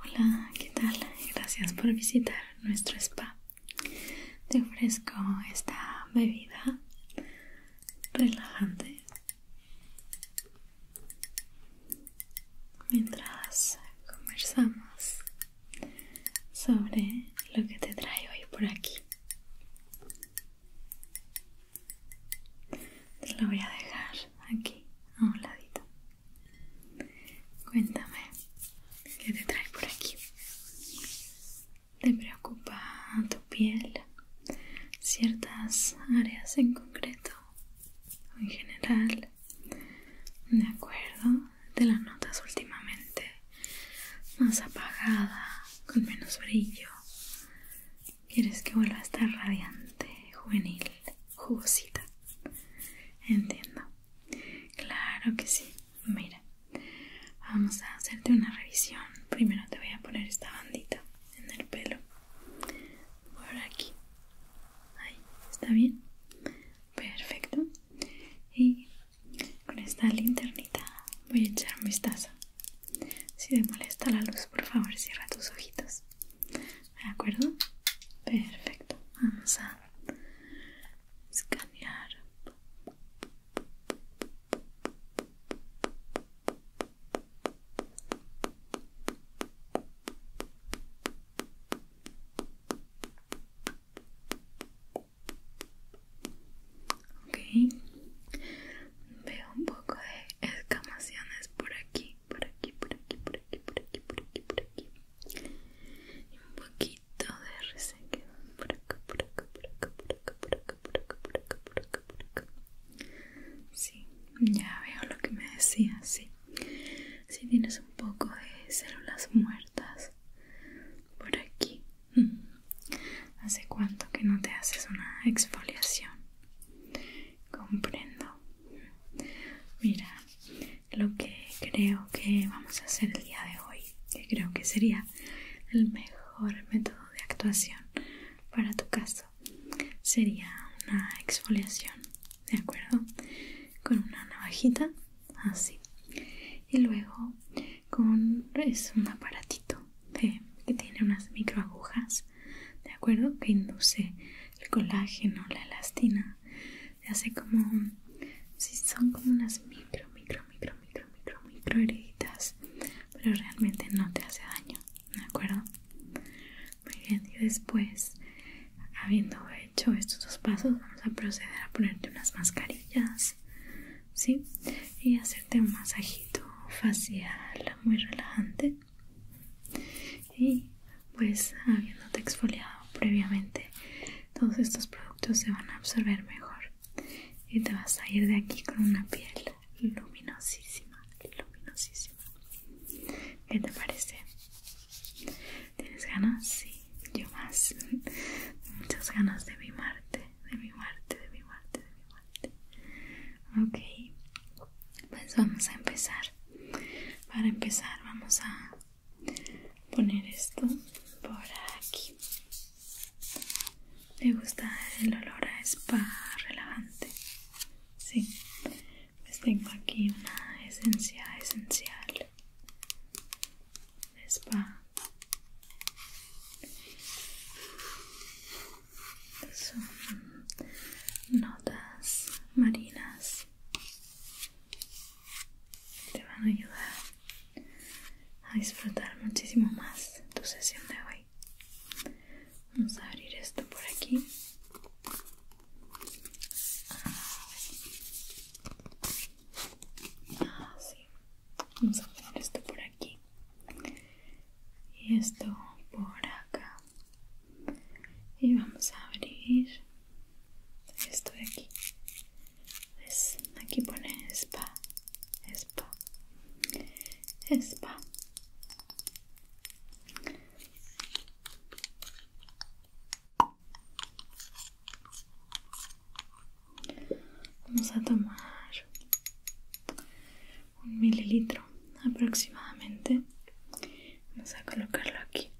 Hola, ¿qué tal? Gracias por visitar nuestro spa. Te ofrezco esta bebida relajante mientras conversamos sobre lo que te trae hoy por aquí. Te lo voy a dejar aquí, a un ladito. Cuéntame, ¿qué te trae por aquí? ¿Te preocupa tu piel? ¿Ciertas áreas en concreto? ¿O en general? De acuerdo, ¿De las notas últimamente más apagada, con menos brillo. Quieres que vuelva a estar radiante, juvenil, jugosita. Entiendo. Claro que sí. Mira, vamos a hacerte una revisión. Primero te voy a poner esta bandita en el pelo. Por aquí. Ahí, ¿está bien? Perfecto. Y con esta linternita voy a echar un vistazo si te molesta la luz, por favor, cierra tus ojitos. ¿De acuerdo? Perfecto. Vamos a escanear. Ok, veo un poco de escamaciones por aquí, por aquí, por aquí, por aquí, por aquí, por aquí, por aquí. Y un poquito de resequedad por acá, por acá, por acá, por acá, por acá, por acá, por acá, por acá, por acá. Sí, ya veo lo que me decías, sí. Si sí, tienes un poco de células muertas por aquí, ¿Hace cuánto que no te haces una exfoliación? Comprendo. Mira, lo que creo que vamos a hacer el día de hoy, que creo que sería el mejor método de actuación para tu caso, sería una exfoliación, ¿de acuerdo? Con una navajita, así. Y luego con es un aparatito que tiene unas microagujas, ¿de acuerdo? Que induce el colágeno, la elastina, se hace como, si son como unas micro, micro, micro, micro, micro, micro pero realmente no te hace daño, ¿de acuerdo? Muy bien, y después, habiendo hecho estos dos pasos, vamos a proceder a ponerte unas mascarillas ¿sí? Y hacerte un masajito facial muy relajante. Y pues habiéndote exfoliado previamente, todos estos productos se van a absorber mejor y te vas a ir de aquí con una piel luminosísima, luminosísima. ¿Qué te parece? ¿Tienes ganas? Sí, yo más. Muchas ganas de mimarte de mi parte, de mi muerte de mi muerte Ok, pues vamos a empezar. Para empezar vamos a poner esto por aquí. me gusta el olor a spa relajante? Sí. Pues tengo aquí una esencia esencial. Spa son notas marinas te van a ayudar a disfrutar muchísimo más tu sesión de hoy vamos a abrir esto por aquí así ah, Vamos a poner esto por aquí y esto por acá. Y vamos a abrir esto de aquí. Aquí pone spa, spa, spa. Vamos a tomar un mililitro aproximadamente. Vamos a colocarlo aquí.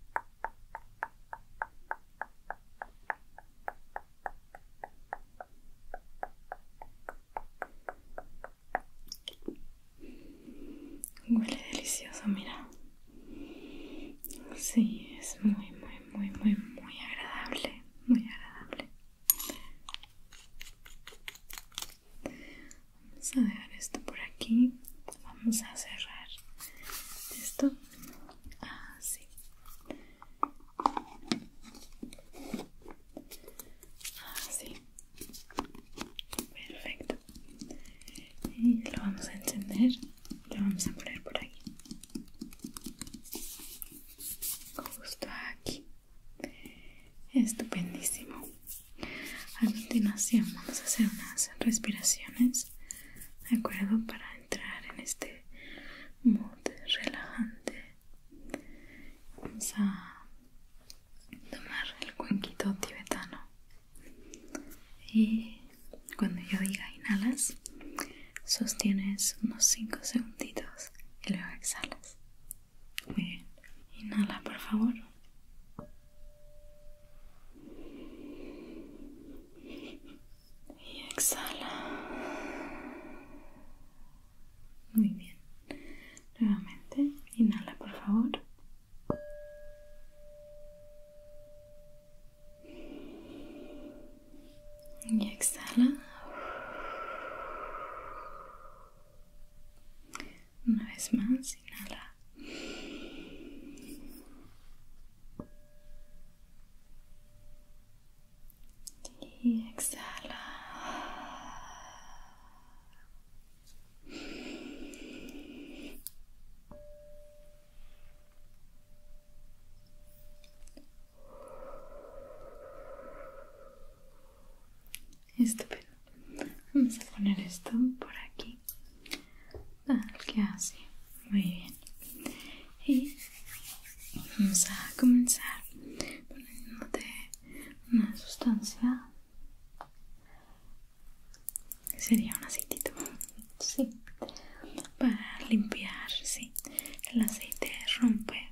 Huele delicioso, mira. Sí, es muy, muy, muy, muy, muy agradable, muy agradable. Vamos a dejar esto por aquí. Vamos a cerrar esto así. Ah, así. Ah, Perfecto. Y lo vamos a encender. Lo vamos a poner por aquí. Justo aquí. Estupendísimo. A continuación vamos a hacer unas respiraciones, ¿de acuerdo? Para entrar en este mood relajante. Vamos a tomar el cuenquito tibetano. Y cuando yo diga inhalas, sostienes unos 5 segunditos y luego exhalas. Muy bien. Inhala, por favor. Y exhala. Muy bien. Nuevamente, inhala, por favor. Y exhala. Una vez más, inhala. Y exhala. Estupendo. Vamos a poner esto por aquí. Ah, que así. Muy bien. Y vamos a comenzar poniéndote una sustancia. Sería un aceitito. Sí. Para limpiar, sí. El aceite rompe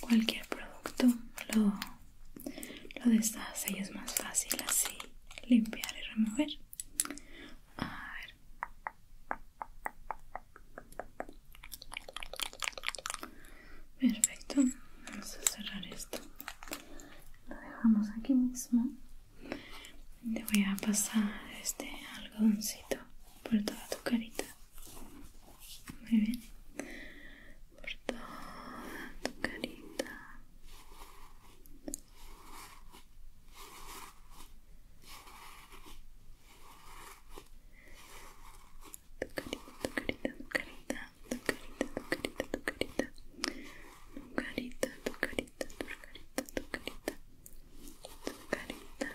cualquier producto lo, lo deshace y es más fácil así limpiar y remover a ver perfecto vamos a cerrar esto lo dejamos aquí mismo Te voy a pasar este algodoncito por toda tu carita muy bien por toda tu carita tu carita, tu carita, tu carita, tu carita, tu carita, tu carita, tu carita, tu carita, tu carita, tu carita, tu carita, carita,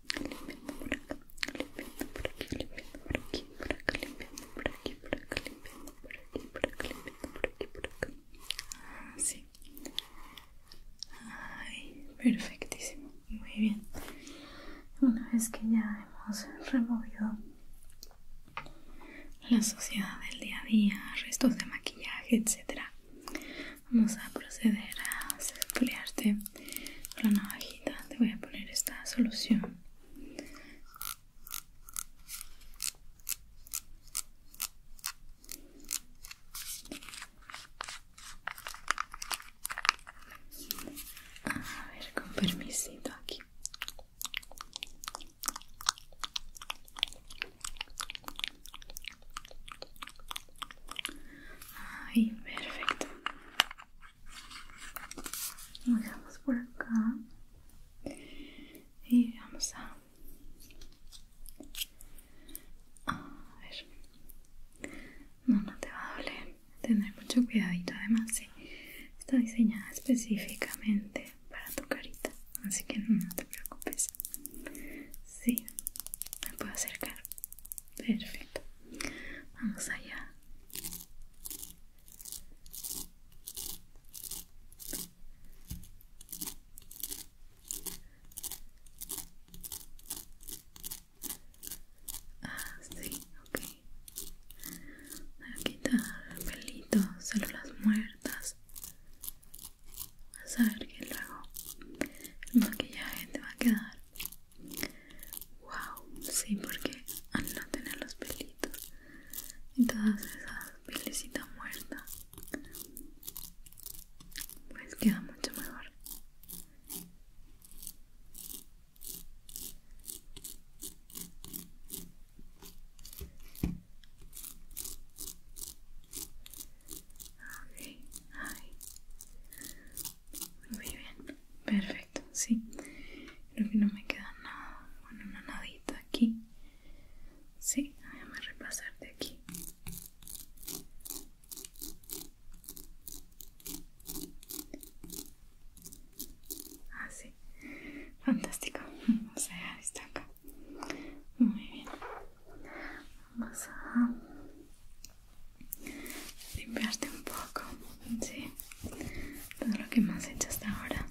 limpiando por acá, limpiando por aquí, limpiando por aquí, por acá, limpiando por aquí, por acá, limpiando por aquí, por acá, limpiando por aquí, por acá. Así. Ay, perfectísimo. Muy bien. Una vez que ya hemos removido la suciedad del día a día, restos de maquillaje, etcétera, vamos a proceder a exfoliarte la navajita te voy a poner esta solución a ver con permisito aquí perfecto. Vamos por acá y vamos a, a ver. No, no te va a doler. Tener mucho cuidadito, además, sí. Está diseñada específicamente para tu carita, así que no te preocupes. Sí, me puedo acercar. Perfecto. Vamos allá. Ah, sí, ok. Voy a quitar pelitos, células muertas. Vas a ver que luego el maquillaje te va a quedar Wow, sí, porque al no tener los pelitos y todas esas pelecitas muertas, pues queda mucho mejor. Okay. Ay. Muy bien, perfecto, sí. Creo que no me queda nada, bueno, una nadita aquí. Sí, déjame repasar de aquí. Así, ah, fantástico. o sea está acá. Muy bien. Vamos a Limpiaste un poco, ¿sí? Todo lo que hemos hecho hasta ahora.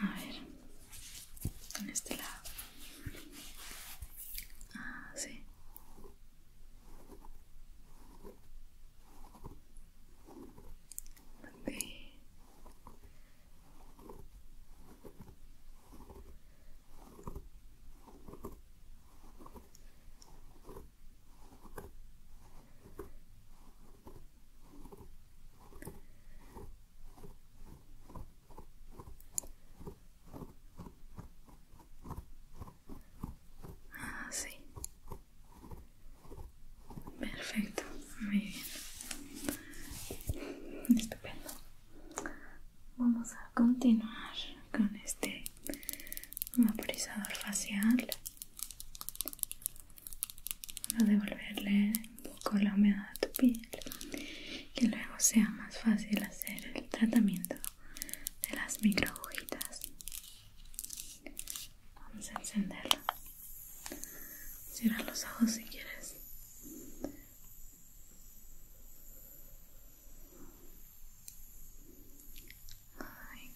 A ver, En este lado. Ah, sí. Ah sí, Perfecto, muy bien. Estupendo. Vamos a continuar con este un vaporizador facial para devolverle un poco la humedad a tu piel que luego sea más fácil hacer el tratamiento de las micro vamos a encenderlo cierra los ojos si quieres Ay,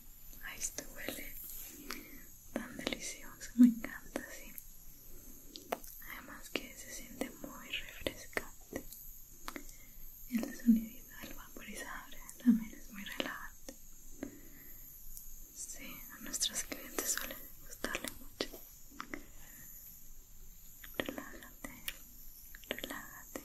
ay, esto huele tan delicioso, me encanta, sí. Además que se siente muy refrescante. El sonido del vaporizador también es muy relajante. Sí, a nuestros clientes suele gustarle mucho. Relájate, relájate.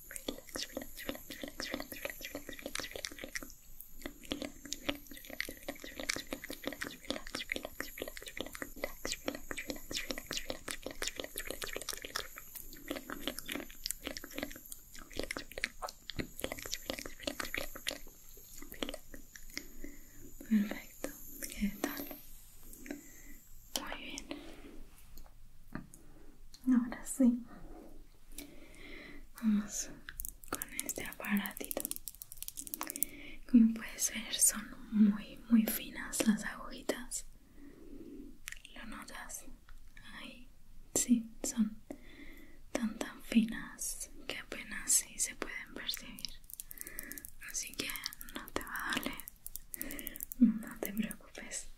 relax, relax, relax, relax, relax, relax, relax, relax, relax. Perfecto, ¿qué tal? Muy bien. Ahora sí. Vamos con este aparatito. Como puedes ver, son muy, muy finas las agujitas. ¿Lo notas? Ahí. Sí, son tan, tan finas que apenas si se pueden percibir. Así que no te va a doler. No te preocupes.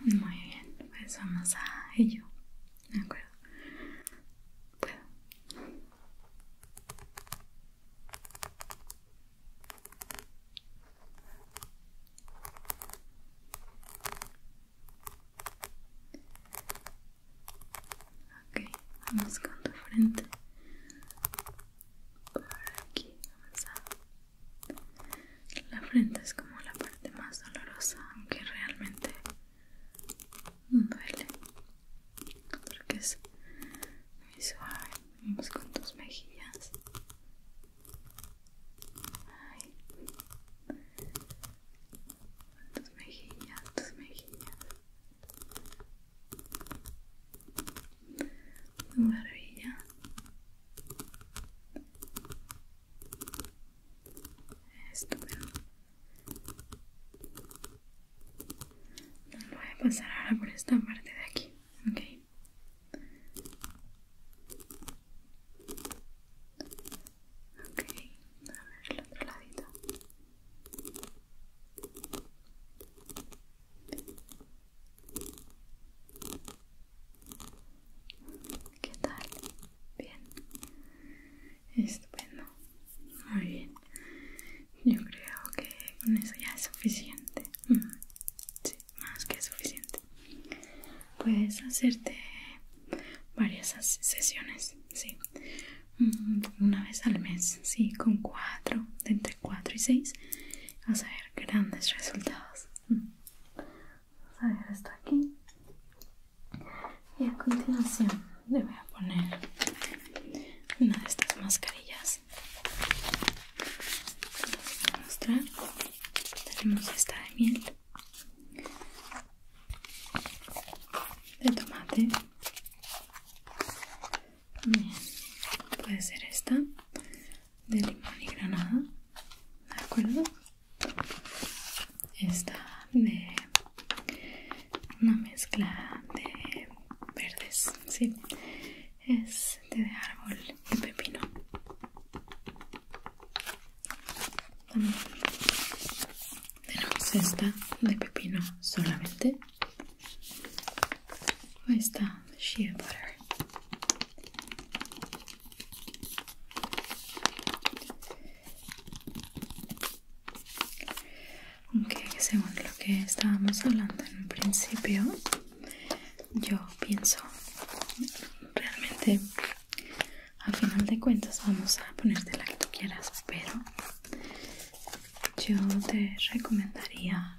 Muy bien, pues vamos a ello. ¿De acuerdo? okay Ok, vamos con tu frente. Por aquí, vamos a la frente es como la parte más dolorosa, aunque realmente duele, porque es muy suave. con tus mejillas. Ay. Tus mejillas, tus mejillas maravilla estupendo voy a pasar ahora por esta parte de aquí ok ok a ver el otro ladito ¿Qué tal? Bien. Estupendo. Muy bien. Yo creo que con eso ya es suficiente. Sí, más que suficiente. Puedes hacerte varias sesiones, sí. Una vez al mes, sí, con cuatro, de entre cuatro y seis, vas a ver grandes resultados. Vamos a dejar esto aquí. Y a continuación le voy a poner una de estas mascarillas. Vamos a mostrar. Tenemos esta de miel, de tomate. Bien, puede ser esta de limón y granada, ¿de acuerdo? Esta de una mezcla de verdes, sí, es de árbol y pepino. tenemos esta de pepino solamente, esta shea butter aunque según lo que estábamos hablando en un principio yo pienso realmente al final de cuentas vamos a ponerte la que tú quieras pero yo te recomendaría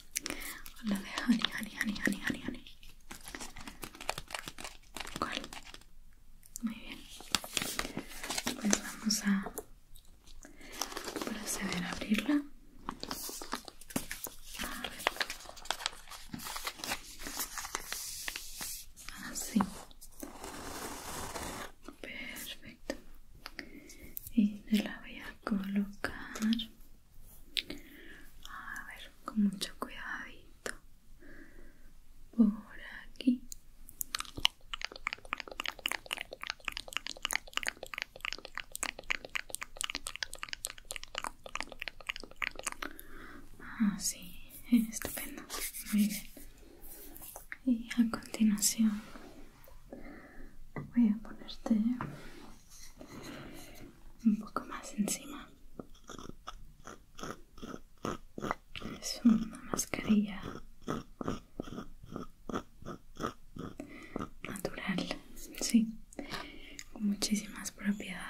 la de Ani Ani Ani honey, Ani Ani ¿Cuál? Muy bien. Pues vamos a proceder a abrirla. A ver. Así. Ah, Perfecto. Y la voy a colocar. A ver, con mucho cuidadito. Por aquí. Así, ah, estupendo. Muy bien. Y a continuación voy a ponerte un poco más encima es una mascarilla natural sí con muchísimas propiedades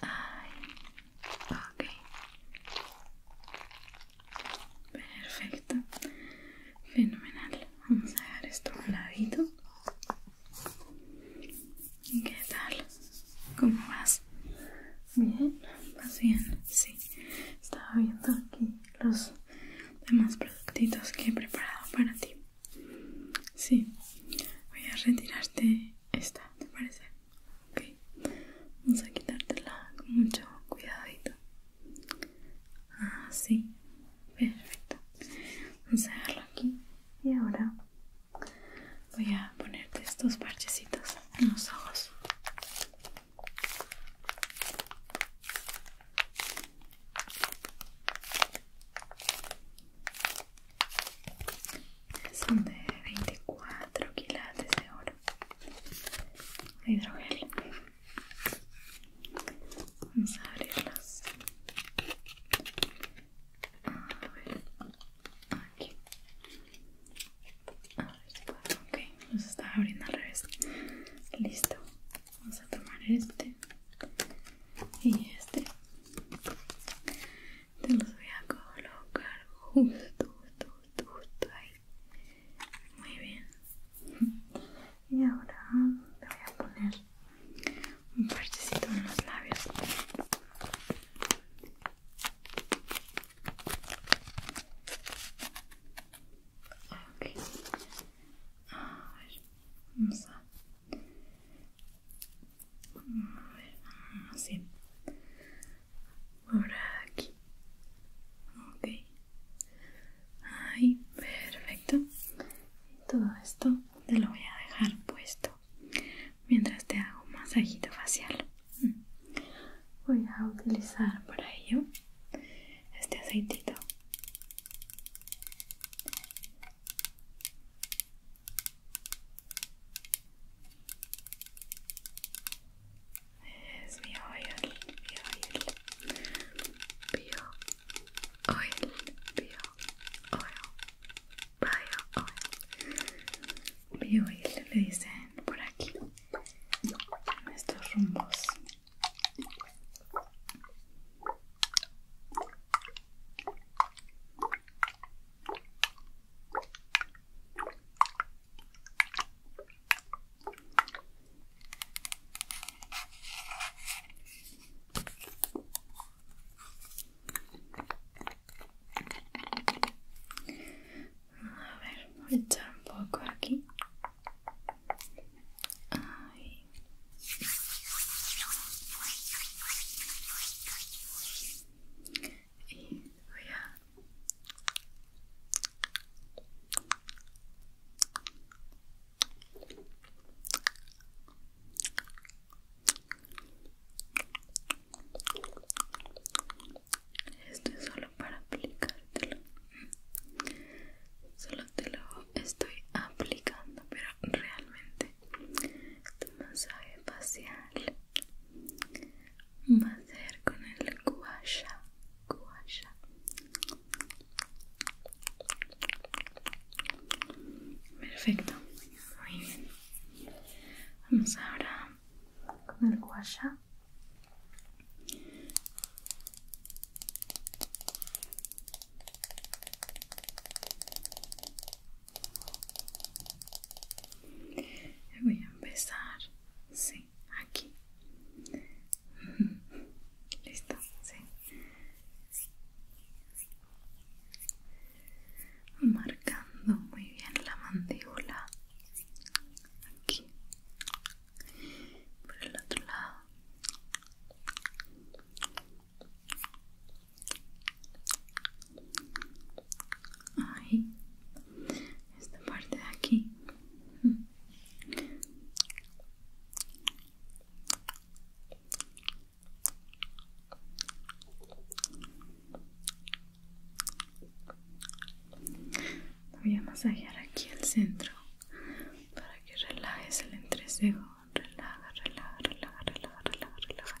Ay, Perfecto. Fenomenal. Vamos a dejar esto a un ladito. ¿Qué tal? ¿Cómo vas? Bien, vas bien. Sí. Estaba viendo aquí los demás productitos que he preparado para ti. Sí, voy a retirarte esta, ¿te parece? Ok, vamos a quitártela con mucho cuidadito. Así, ah, perfecto. Vamos a dejarlo aquí y ahora voy a ponerte estos parchecitos en los ojos son de 24 quilates de oro de hidrogel vamos a abrirlos a ver aquí a ver si puedo ok los estaba abriendo al revés listo vamos a tomar este y este te los voy a colocar justo justo justo, ahí muy bien y ahora te voy a poner un parchecito en los labios ok a ver vamos a a ver, así. Por aquí. Ok. Ahí, perfecto. Todo esto te lo voy a dejar puesto mientras te hago un masajito facial. Voy a utilizar para ello este aceitito There's the oil, the oil, bio oil, bio oil, bio oil, bio oil le dicen por aquí, en estos rumbos. A ver, voy a echar un poco aquí. Ahí. Y voy a esto es solo para aplicártelo solo te lo estoy aplicando pero realmente tu este masaje facial va a ser con el guasha guasha perfecto muy bien vamos ahora con el guasha Voy a empezar, sí, aquí. Listo, sí. Marcando muy bien la mandíbula. Aquí. Por el otro lado ahí esta parte de aquí voy a masajear aquí el centro para que relajes el entrecejo relaja, relaja, relaja, relaja, relaja, relaja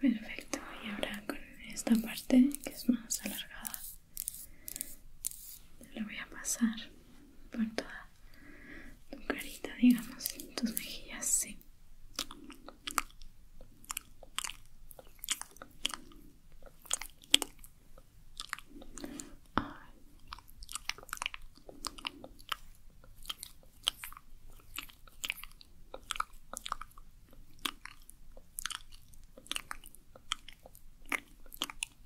Perfecto, y ahora con esta parte que es más alargada, lo voy a pasar por toda tu carita, digamos, tus mejillas, sí.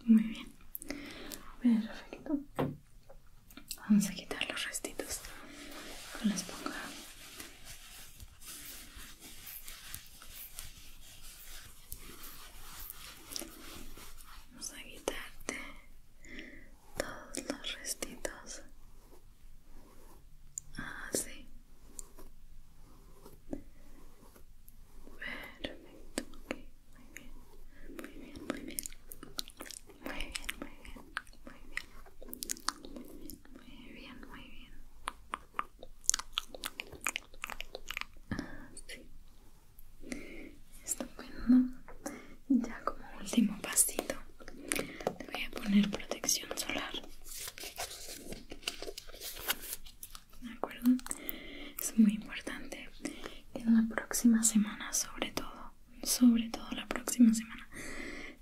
Muy bien. Perfecto. Vamos a quitar los restitos con la esponja. Vamos a quitarte todos los restitos así ah, Perfecto, ok, muy bien, muy bien, muy bien, muy bien, muy bien, muy bien, muy bien, muy bien, así, ah, ya como último pasito te voy a poner protección solar. ¿De acuerdo? Es muy importante que en la próxima semana, sobre todo, sobre todo la próxima semana,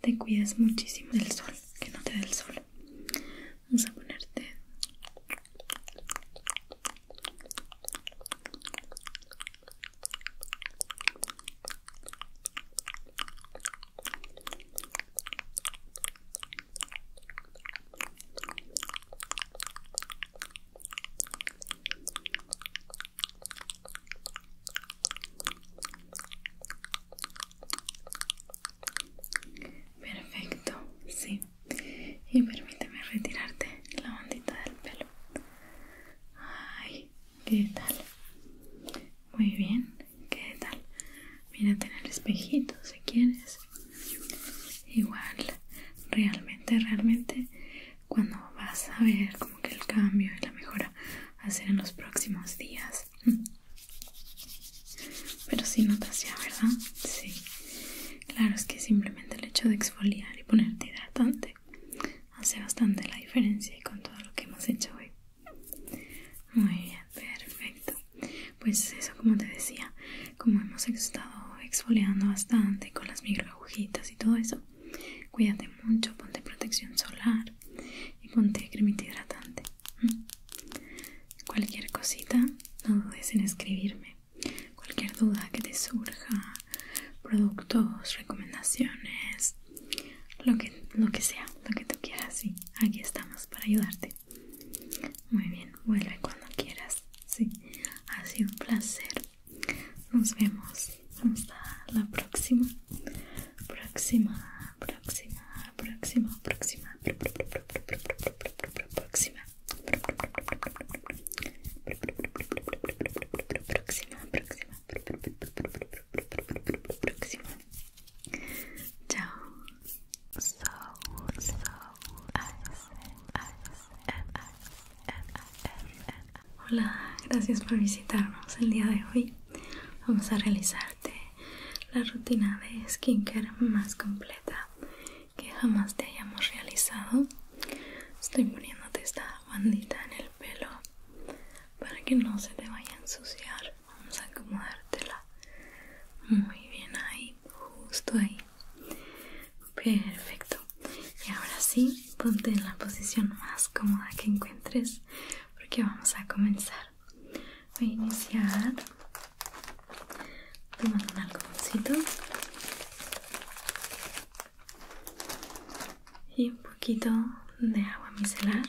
te cuides muchísimo del sol, que no te dé el sol. Vamos a ponerte Perfecto, sí. Y permíteme retirarte la bandita del pelo. Ay, ¿qué tal? Muy bien. ¿Qué tal? mira tener el espejito si quieres. Igual, realmente, realmente, cuando vas a ver como que el cambio y la mejora va a ser en los próximos días. Pero si sí notas ya, ¿verdad? Sí. Claro, es que simplemente el hecho de exfoliar y ponerte hidratante hace bastante la diferencia con todo lo que hemos hecho hoy. Muy bien, perfecto. Pues eso, como te decía, como hemos estado exfoliando bastante con las micro agujitas y todo eso, cuídate mucho, ponte protección solar y ponte cremita hidratante. Mm. Cualquier cosita, no dudes en escribirme. Cualquier duda que te surja, productos, recomendaciones, lo que, sea, lo que tú quieras, sí, aquí estamos para ayudarte. Muy bien, vuelve cuando quieras, sí, ha sido un placer. Nos vemos hasta la próxima, próxima, próxima, próxima, próxima, próxima. Próxima, próxima, próxima próxima. Chao. So, Hola, gracias por visitarnos el día de hoy. Vamos a realizarte la rutina de skincare más completa que jamás te hayamos realizado. Estoy poniéndote esta bandita en el pelo para que no se te vaya a ensuciar vamos a acomodártela muy bien ahí, justo ahí. Perfecto. Y ahora sí, ponte en la posición más cómoda que encuentres porque vamos a comenzar. Voy a iniciar tomando un algodoncito y un poquito de agua micelar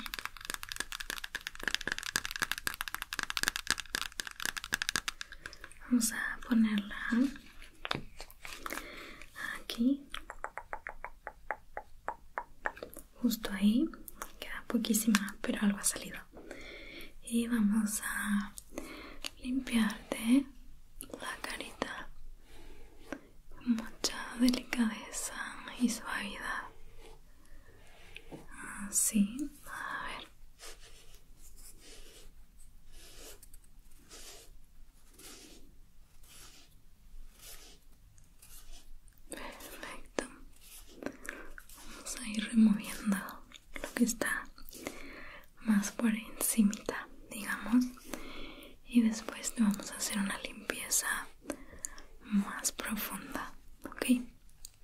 vamos a ponerla aquí justo ahí queda poquísima pero algo ha salido y vamos a limpiarte la carita con mucha delicadeza y suavidad Así, ah, a ver. Perfecto. Vamos a ir removiendo lo que está más por encima, digamos. Y después vamos a hacer una limpieza más profunda, ok,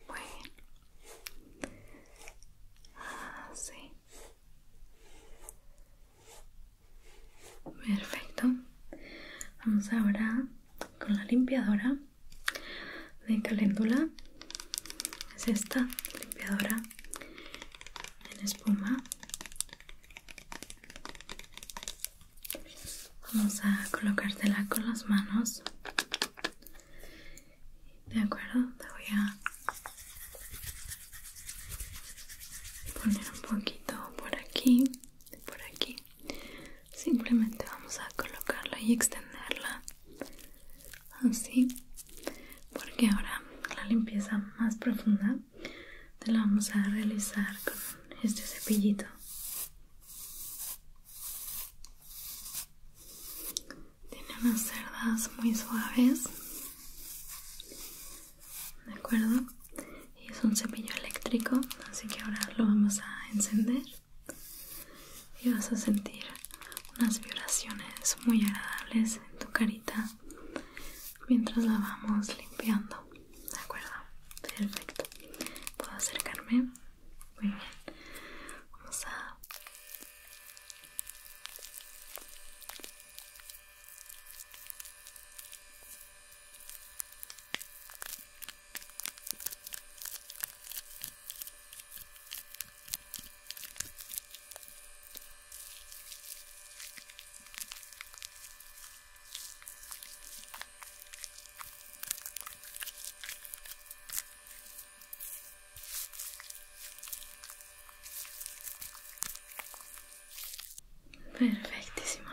muy bien, así, perfecto, vamos ahora con la limpiadora de caléndula, es esta limpiadora en espuma Vamos a colocártela con las manos. De acuerdo, te voy a poner un poquito por aquí por aquí. Simplemente vamos a colocarla y extenderla así, porque ahora la limpieza más profunda te la vamos a realizar con este cepillito. Tiene unas cerdas muy suaves. ¿De acuerdo? Y es un cepillo eléctrico, así que ahora lo vamos a encender. Y vas a sentir unas vibraciones muy agradables en tu carita mientras la vamos limpiando. ¿de acuerdo? Perfecto. ¿Puedo acercarme? Muy bien. Vamos a... Perfectísimo.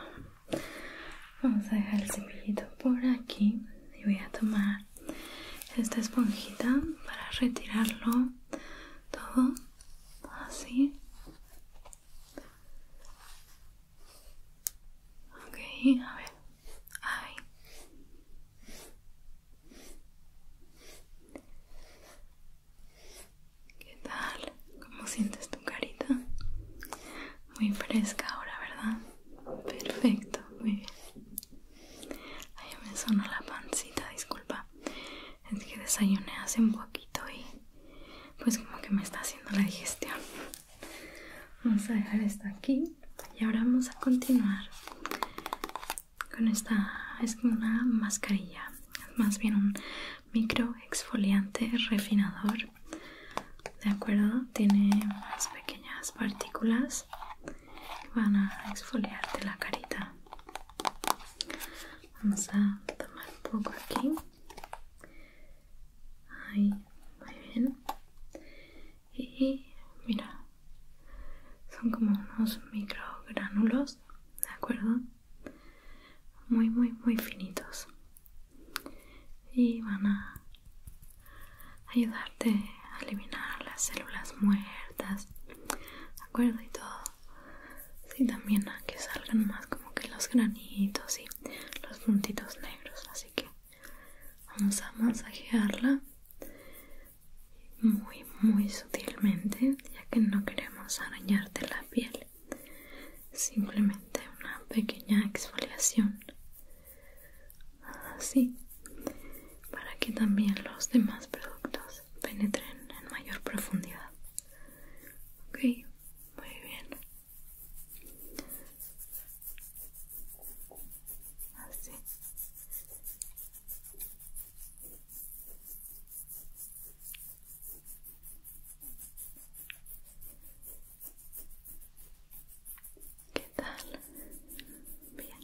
Vamos a dejar el cepillito por aquí y voy a tomar esta esponjita para retirarlo todo así Ok, a ver. Ay. ¿Qué tal? ¿Cómo sientes tu carita? Muy fresca ahora, ¿verdad? Perfecto, muy bien. Ahí me sonó la pancita, disculpa. Es que desayuné hace un poquito y pues como que me está haciendo la digestión. Vamos a dejar esta aquí y ahora vamos a continuar con esta. Es como una mascarilla, más bien un micro exfoliante refinador. De acuerdo, tiene unas pequeñas partículas que van a exfoliarte la carita. Vamos a tomar un poco aquí Ahí, muy bien. Y mira, son como unos microgranulos, ¿de acuerdo? Muy, muy, muy finitos. Y van a ayudarte a eliminar las células muertas, ¿de acuerdo? Y todo. Y también a que salgan más como que los granitos y los puntitos negros, así así que vamos a masajearla muy muy sutilmente ya que no queremos arañarte la piel simplemente una pequeña exfoliación así para que también los demás productos penetren en mayor profundidad ok muy bien ¿Qué tal? Bien.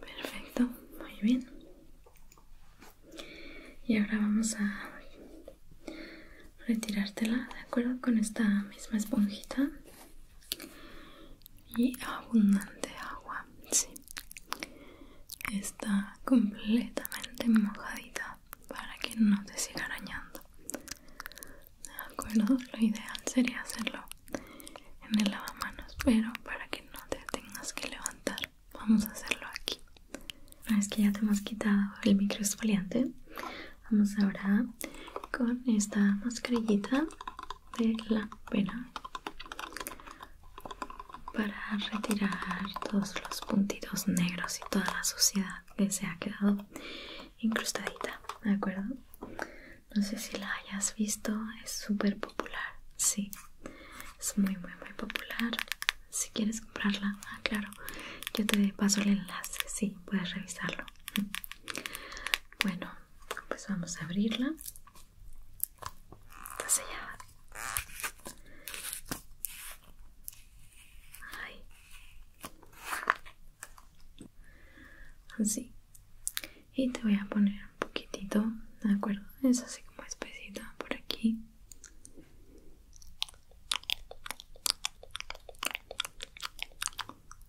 Perfecto, muy bien y ahora vamos a retirártela de acuerdo con esta misma esponjita y abundante agua sí está completamente mojadita para que no te siga arañando de acuerdo lo ideal sería hacerlo en el lavamanos pero para que no te tengas que levantar Vamos a hacerlo aquí. Una vez que ya te hemos quitado el microesfoliante vamos ahora con esta mascarillita de la pena para retirar todos los puntitos negros y toda la suciedad que se ha quedado incrustadita, ¿de acuerdo? No sé si la hayas visto, es súper popular, sí, es muy muy muy popular si quieres comprarla, ah, claro, yo te paso el enlace, sí, puedes revisarlo. Bueno, pues vamos a abrirla. sellada. Así. Y te voy a poner un poquitito, ¿de acuerdo? Es así como espesito, por aquí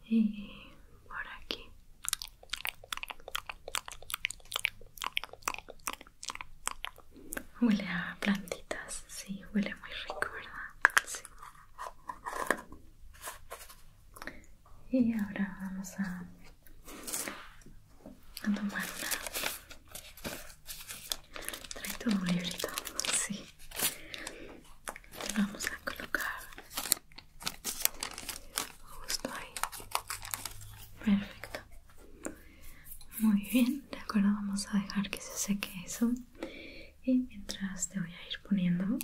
y por aquí huele a plantitas sí huele muy rico verdad sí. y ahora vamos a a tomar una Trae todo un librito, sí. Te vamos a colocar justo ahí. Perfecto. Muy bien, de acuerdo, vamos a dejar que se seque eso. Y mientras te voy a ir poniendo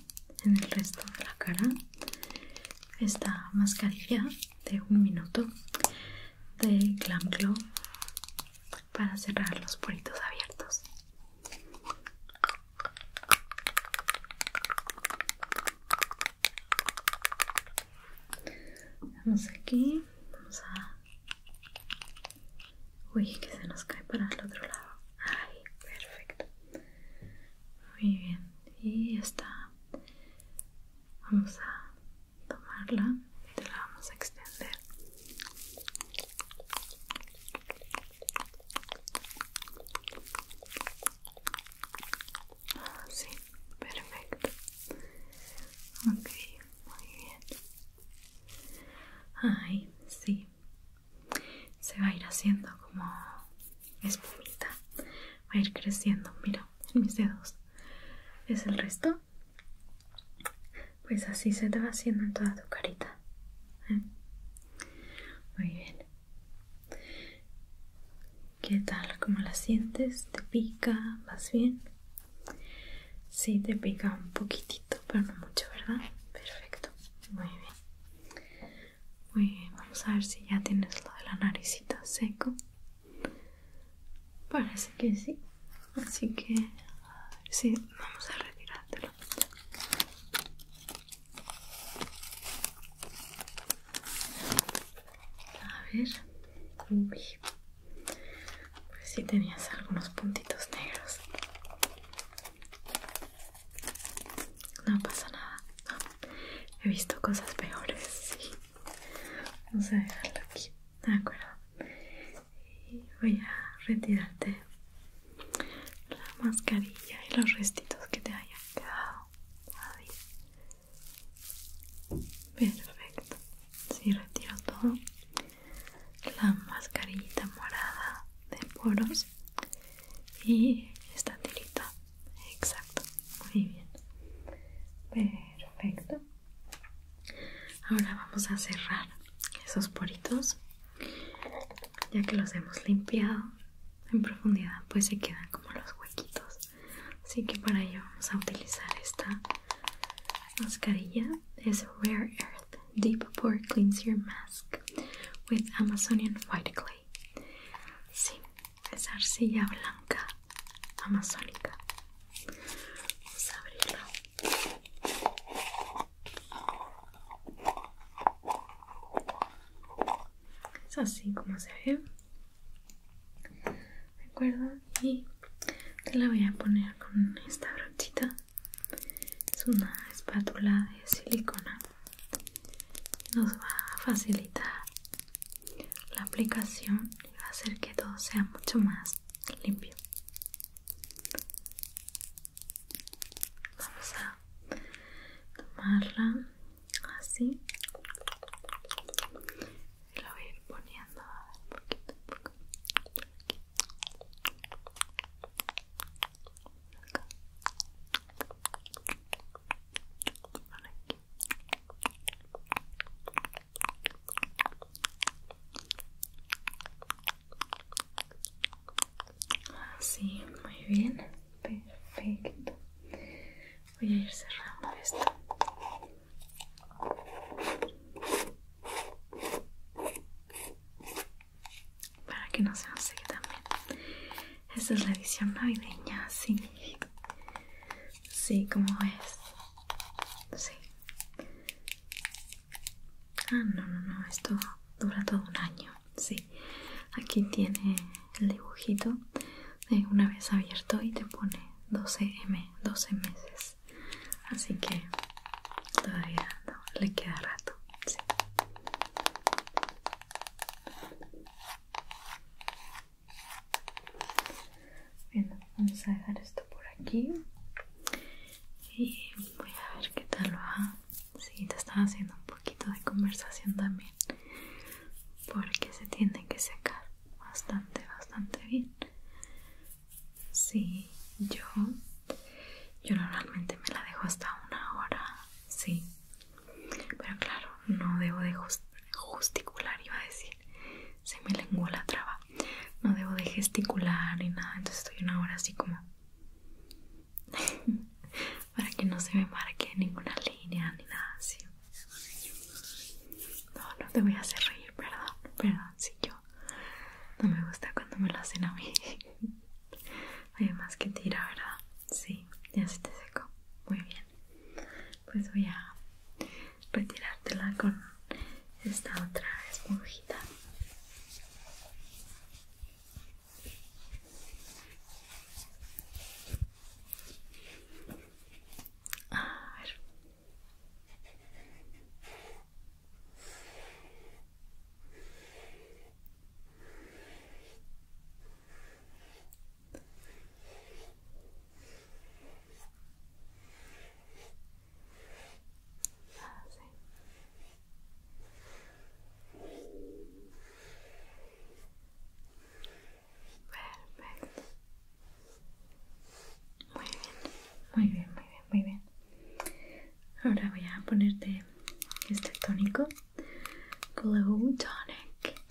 en el resto de la cara esta mascarilla de un minuto de Glam Glow para cerrar los poritos abiertos. Vamos aquí, vamos a... Uy, que se nos cae para el otro lado. Ay, perfecto. Muy bien. Y está. Vamos a tomarla y te la vamos a extender así ah, perfecto ok muy bien ay sí se va a ir haciendo como espumita va a ir creciendo mira en mis dedos es el resto pues así se te va haciendo en toda tu carita. ¿eh? Muy bien. ¿Qué tal? ¿Cómo la sientes? ¿Te pica? más bien? Sí, te pica un poquitito, pero no mucho, ¿verdad? Perfecto. Muy bien. Muy bien. Vamos a ver si ya tienes lo de la naricita seco. Parece que sí. Así que sí, vamos a retirártelo. A ver. Pues sí tenías algunos puntitos negros. No pasa nada. He visto cosas peores, sí. Vamos a dejarlo aquí de acuerdo y voy a retirarte la mascarilla y los restitos que te hayan quedado perfecto si retiro todo la mascarillita morada de poros y esta tirita exacto muy bien perfecto Ahora vamos a cerrar esos poritos. Ya que los hemos limpiado en profundidad, pues se quedan como los huequitos. Así que para ello vamos a utilizar esta mascarilla. Es Rare Earth Deep Pore Cleanser Mask with Amazonian White Clay. Sí, es arcilla blanca amazónica. Vamos a abrirla. Es así como se ve. ¿De acuerdo? Y te la voy a poner con esta brochita. Es una espátula de silicona. Nos va a facilitar la aplicación y va a hacer que todo sea mucho más limpio vamos a tomarla así y la voy ir poniendo a ver, poquito a poco Acá. Por aquí. Así, muy bien, perfecto. Voy a ir cerrando esto. Para que no se nos seque también. Esta es la edición navideña, sí. Sí, como es. Sí. Ah, no, no, no, esto dura todo un año. Sí. Aquí tiene el dibujito de una vez abierto y te pone 12M, 12 meses. Así que todavía no, le queda rato. Sí. Bueno, vamos a dejar esto por aquí y voy a ver qué tal va. Sí, te estaba haciendo un poquito de conversación también porque se tiene que secar bastante, bastante bien. Sí, yo, yo normalmente me la dejo hasta una hora, sí. Pero claro, no debo de justicular, iba a decir. Se me lenguó la traba. No debo de gesticular ni nada. Entonces estoy una hora así como... Para que no se me marque ninguna línea ni nada así. No, no te voy a hacer reír, perdón. Perdón, si yo... No me gusta cuando me lo hacen a mí. Hay más que tirar, ¿verdad? Sí, ya se te secó. Muy bien. Pues voy a retirártela con esta otra esponjita a ver Ah, Perfecto. Muy bien, muy bien, muy bien, muy bien. Ahora voy a ponerte este tónico. Glow Tonic.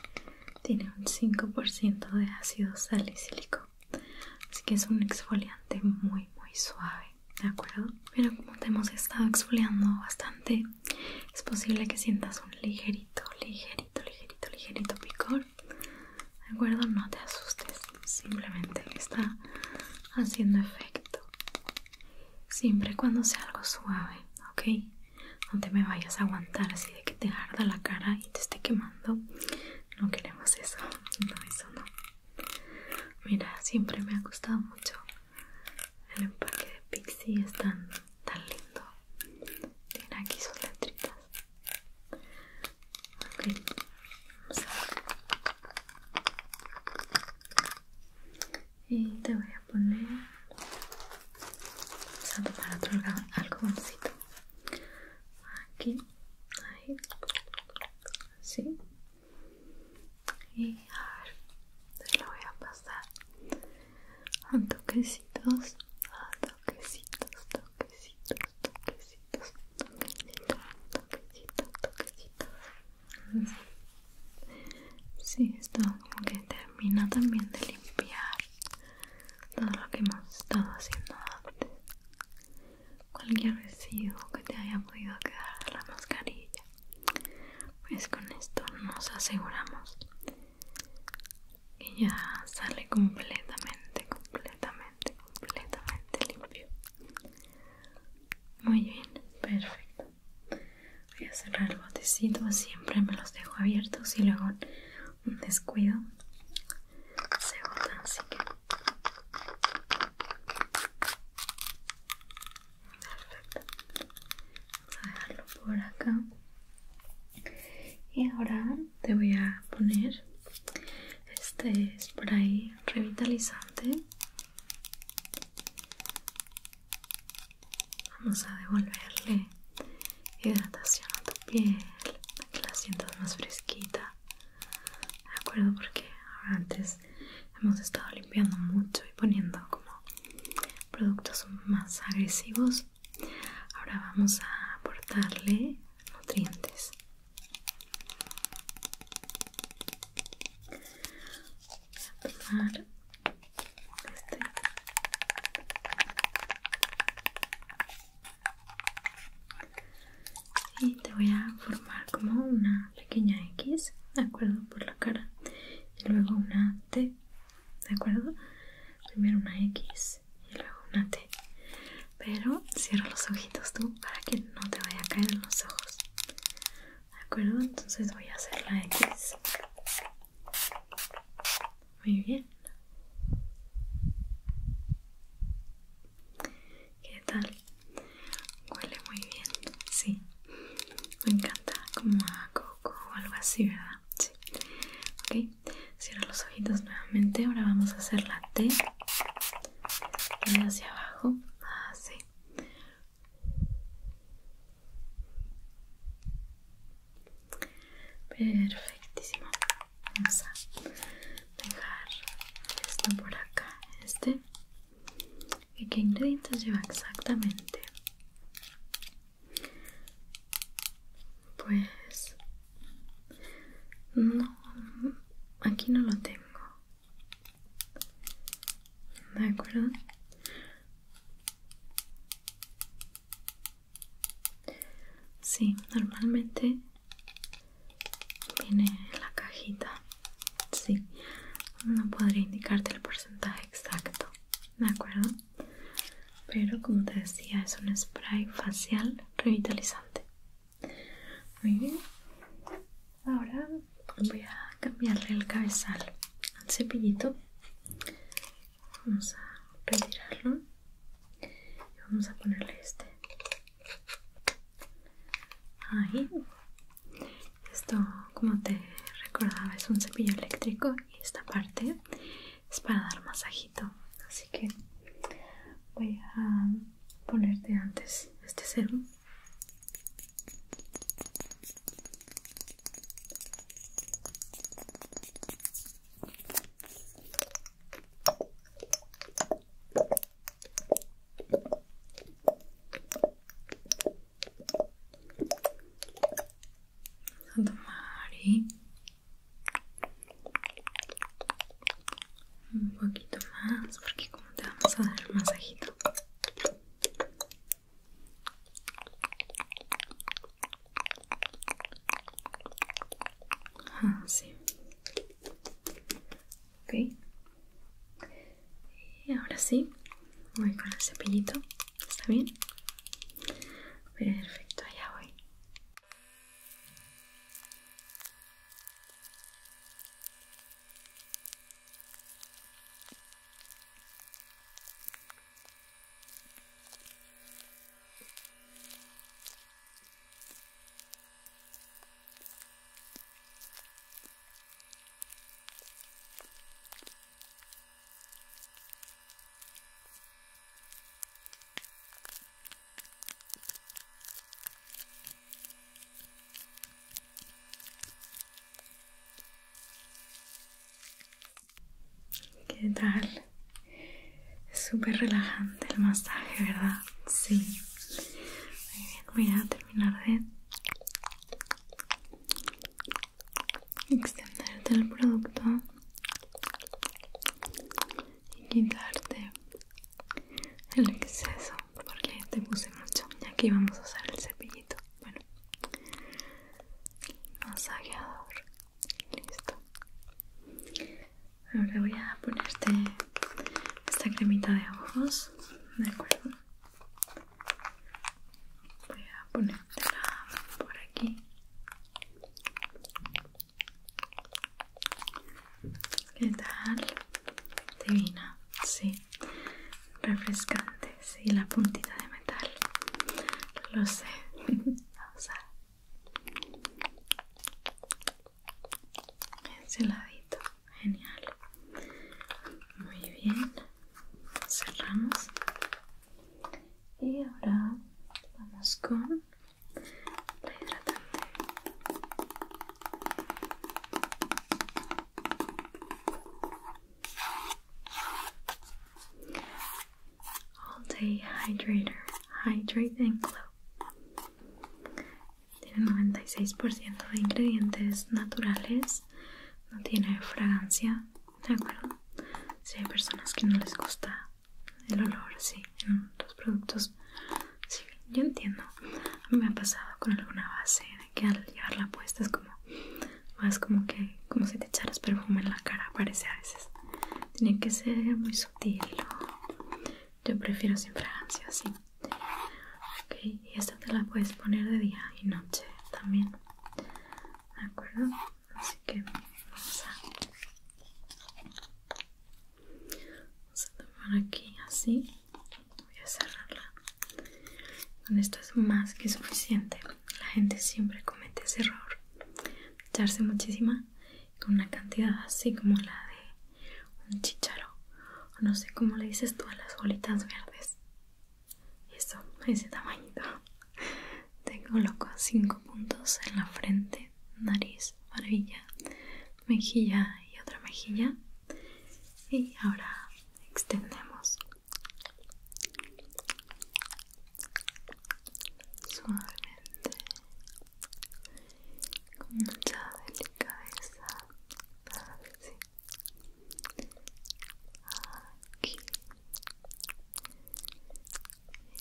Tiene un 5% de ácido salicílico. Así que es un exfoliante muy muy suave, ¿de acuerdo? Pero como te hemos estado exfoliando bastante, es posible que sientas un ligerito, ligerito, ligerito, ligerito picor. ¿De acuerdo? No te asustes, simplemente está haciendo efecto. Siempre cuando sea algo suave, ¿ok? No te me vayas a aguantar así de que te arda la cara y te esté quemando no queremos eso, no, eso no. Mira, siempre me ha gustado mucho el empaque de Pixie, es tan, tan lindo. Tiene aquí sus letritas. Ok, vamos Y te voy a poner. Vamos a tomar otro Aquí ahí así y a ver lo voy a pasar a toquecitos a toquecitos toquecitos toquecitos toquecitos toquecitos toquecitos Sí, esto como que termina también de limpiar todo lo que hemos estado haciendo antes cualquier residuo que te haya podido quedar de la mascarilla pues con esto nos aseguramos y ya sale completamente completamente completamente limpio muy bien perfecto voy a cerrar el botecito siempre me los dejo abiertos y luego un descuido se botan así que Vamos a dejarlo por acá. Y ahora te voy a poner este spray revitalizante. Vamos a devolverle hidratación a tu piel, para que la sientas más fresquita de acuerdo porque ahora antes hemos estado limpiando mucho y poniendo como productos más agresivos ahora vamos a aportarle nutrientes voy a tomar este y te voy a formar como una pequeña X, ¿de acuerdo? Por la cara y luego una T, ¿de acuerdo? Primero una X y luego una T. Pero cierra los ojitos tú para que no te vaya a caer en los ojos. ¿De acuerdo? Entonces voy a hacer la X. Muy bien. ¿Qué tal? Huele muy bien, sí. Me encanta como a coco o algo así, ¿verdad? Sí. Ok, cierro los ojitos nuevamente. Ahora vamos a hacer la T. hacia abajo. Así. Ah, Perfectísimo. Vamos a dejar esto por acá, este. ¿Y qué ingredientes lleva exactamente? Pues no, aquí no lo tengo. ¿De acuerdo? Sí, normalmente viene la cajita sí no podría indicarte el porcentaje exacto de acuerdo pero como te decía es un spray facial revitalizante muy bien ahora voy a cambiarle el cabezal al cepillito vamos a retirarlo Vamos a ponerle este. Ahí. Esto, como te recordaba, es un cepillo eléctrico y esta parte es para dar masajito. Así que voy a ponerte antes este serum a tomar, Un poquito más, porque como te vamos a dar masajito. ah sí ok y ahora sí voy con el cepillito está bien perfecto allá voy ¿Qué tal? Súper relajante el masaje, ¿verdad? Sí. Muy bien, voy a terminar de extenderte el producto y quitarte el exceso porque te puse mucho y aquí vamos a usar el cepillito bueno masajeador listo Ahora voy a ponerte esta cremita de ojos, ¿de acuerdo? Voy a ponértela por aquí. ¿Qué tal? Divina, sí. Refrescante, sí, la puntita de metal. Lo sé. Vamos a ese genial muy bien cerramos y ahora vamos con la hidratante all day hydrator hydrate and glow tiene 96% de ingredientes naturales, no tiene fragancia, ¿de acuerdo? Si hay personas que no les gusta el olor, sí, en los productos, sí, yo entiendo. A mí me ha pasado con alguna base de que al llevarla puesta es como más como que como si te echaras perfume en la cara, parece a veces. Tiene que ser muy sutil, yo prefiero sin fragancia, así Ok, y esta te la puedes poner de día y noche también. ¿De acuerdo? Así que vamos a, vamos a tomar aquí así. Voy a cerrarla. Con esto es más que suficiente. La gente siempre comete ese error. Echarse muchísima con una cantidad así como la de un chicharo no sé cómo le dices tú a las bolitas verdes eso, ese tamañito te coloco cinco puntos en la frente, nariz, barbilla, mejilla y otra mejilla y ahora extendemos suavemente con mucha delicadeza aquí y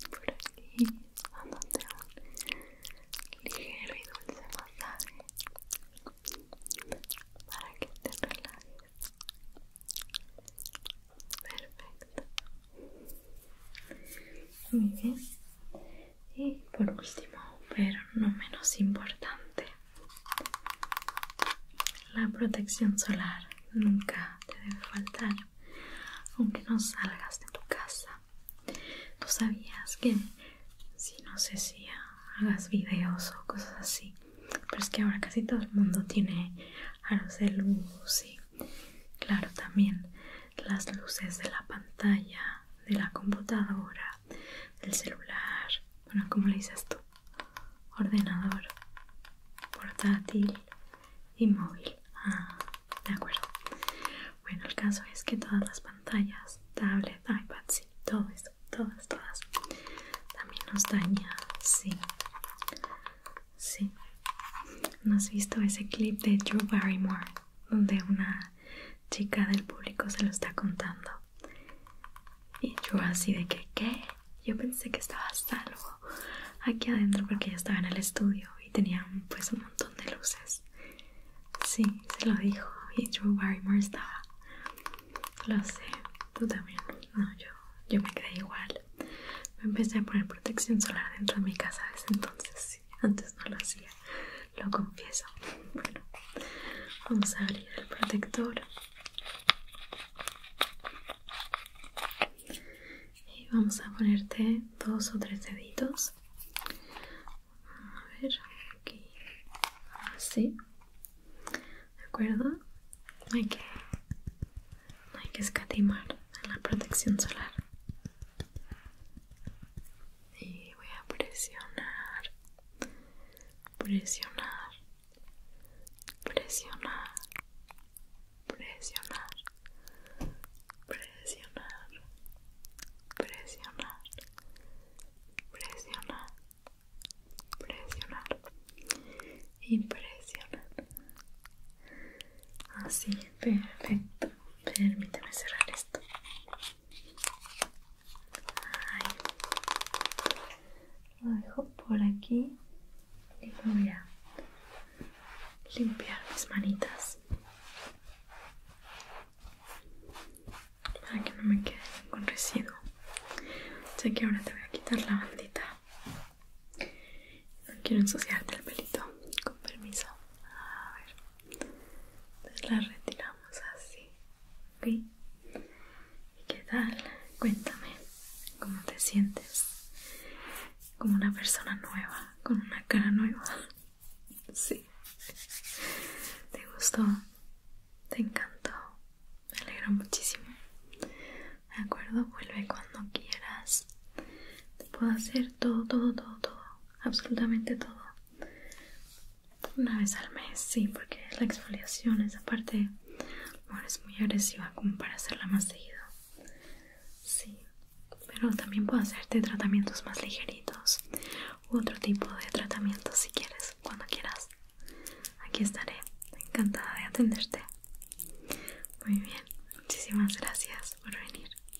por aquí un ligero y dulce masaje para que te relajes perfecto muy bien y por último pero no menos importante la protección solar nunca te debe faltar aunque no salgas de tu casa tú sabías que si no sé si hagas videos o cosas así pero es que ahora casi todo el mundo tiene aros de luz y claro también las luces de la pantalla de la computadora del celular bueno como le dices tú ordenador portátil y móvil ah, de acuerdo bueno el caso es que todas las pantallas tablet iPad, sí, todo eso todas todas también nos daña sí sí ¿No has visto ese clip de Drew Barrymore donde una chica del público se lo está contando. Y yo así de que, ¿qué? Yo pensé que estaba salvo aquí adentro porque ya estaba en el estudio y tenía pues un montón de luces. Sí, se lo dijo. Y yo Barrymore estaba. Lo sé, tú también. No, yo, me quedé igual. Me empecé a poner protección solar dentro de mi casa desde entonces. antes no lo hacía lo confieso. Bueno, vamos a abrir el protector y vamos a ponerte dos o tres deditos. A ver, aquí, así, ¿de acuerdo? Hay que, hay que escatimar la protección solar y voy a presionar presionar presionar presionar presionar presionar presionar presionar y presionar así perfecto permíteme cerrar esto lo dejo por aquí y voy a limpiar mis manitas para que no me quede ningún residuo. Sé que ahora te voy a quitar la bandita. No quiero ensuciarte el pelito. Con permiso. A ver. Entonces la retiramos así, ¿ok? ¿Y qué tal? Cuéntame, ¿cómo te sientes? Como una persona nueva, con una cara nueva. Sí. ¿Te gustó? ¿Te encantó? Me alegro muchísimo. ¿De acuerdo? Vuelve cuando quieras. Te puedo hacer todo, todo, todo, todo absolutamente todo una vez al mes, sí, porque la exfoliación, esa parte, es muy agresiva como para hacerla más seguido. Sí, pero también puedo hacerte tratamientos más ligeritos u otro tipo de tratamientos si quieres, cuando quieras. Aquí estaré, encantada de atenderte. Muy bien, muchísimas gracias por venir.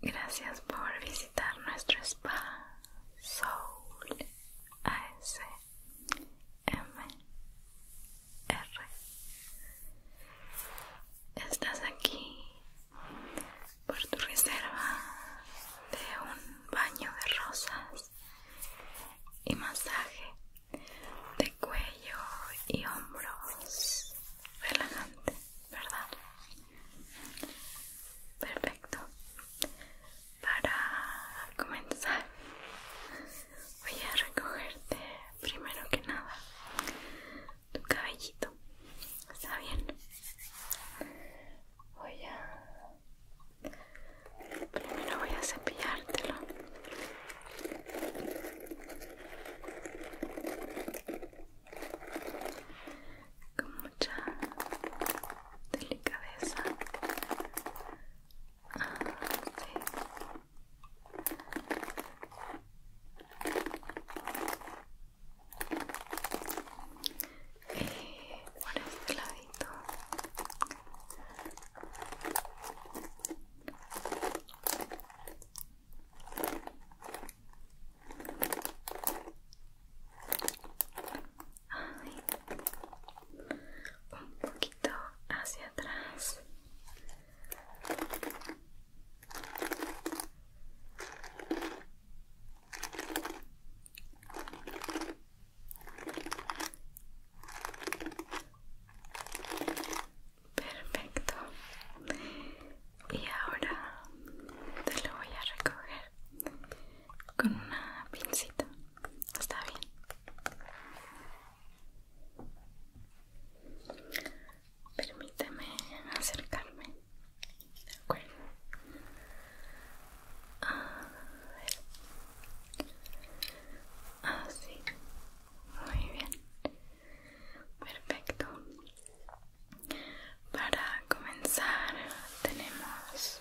Gracias por visitar nuestro spa Soul A-S-M-R Estás aquí por tu reserva de un baño de rosas y masaje de cuello y hombros relajante, ¿verdad? Perfecto. Para comenzar, voy a recogerte primero que nada tu cabellito. ¿Está bien? Voy a... Primero voy a cepillártelo con mucha delicadeza eh por este ladito un poquito hacia atrás Perfecto. Y ahora te lo voy a recoger con una pincita. Está bien. Permíteme acercarme. De acuerdo. Así. Ah, Muy bien. Perfecto. Para comenzar tenemos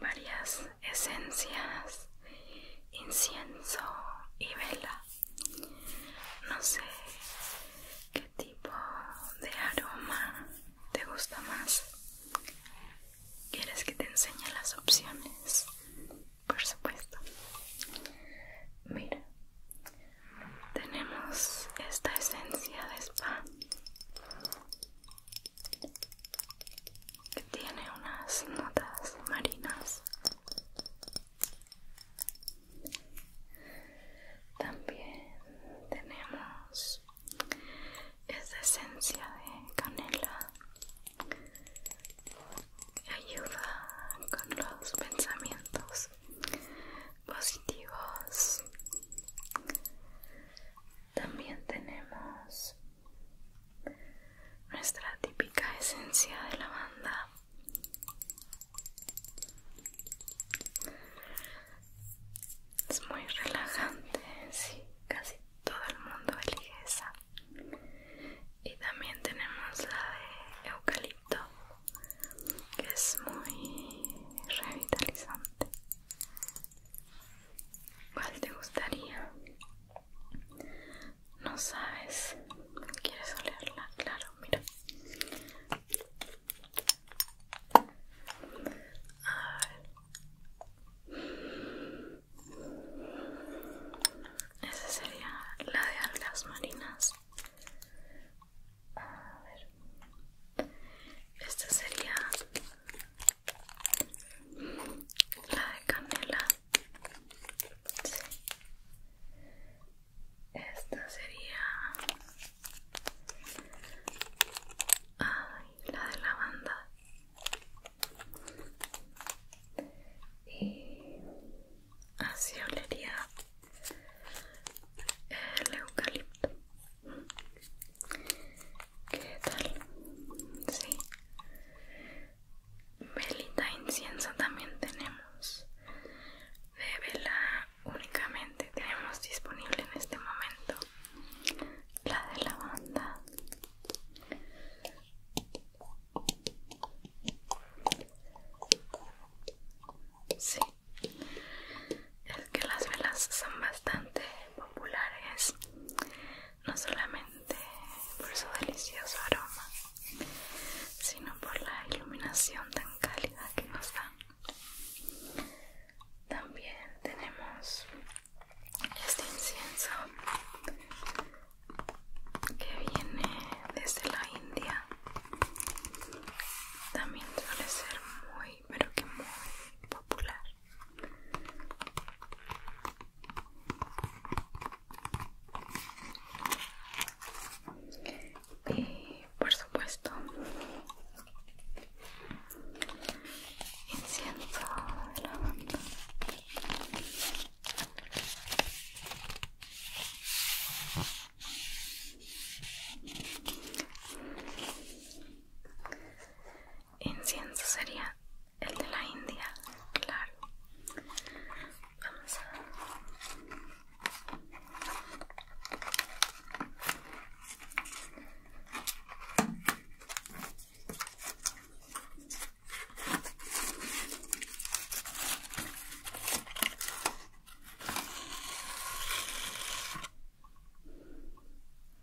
varias esencias, incienso y vela. No sé qué tipo de aroma te gusta más. ¿Quieres que te enseñe las opciones? por supuesto. Mira, tenemos esta esencia de spa que tiene unas notas marinas. También tenemos esta esencia de canela ayuda con los pensamientos positivos también tenemos nuestra típica esencia de la banda es muy relajante sí casi todo el mundo elige esa y también tenemos la de eucalipto que es muy revitalizante ¿cuál te gustaría? no sabes quieres olerla claro mira a ver. Esa sería la de algas marinas. A ver. Esta sería la de canela. Esta sería la de lavanda y eh, así olería eh, el eucalipto. ¿Qué tal? Sí. Velita incienso también tenemos. De vela únicamente tenemos disponible en este momento la de lavanda. Sí, es que las velas son bastante populares, no solamente por su delicioso aroma, sino por la iluminación tan cálida que nos da También tenemos este incienso que viene desde la India también suele ser muy pero que muy popular y por supuesto incienso de lavanda Incienso sería el de la India, claro.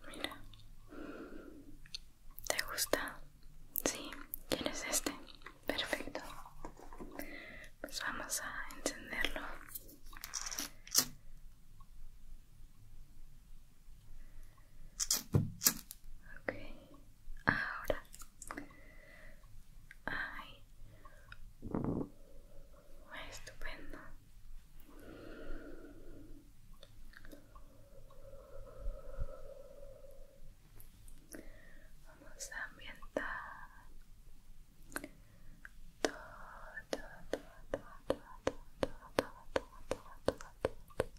Mira, ¿te gusta? Sí, es este? Perfecto. Pues vamos a encenderlo. Ok, ahora Ay, estupendo. Vamos a ambientar todo, todo, todo, todo, todo, todo, todo, todo, todo, todo, todo, todo,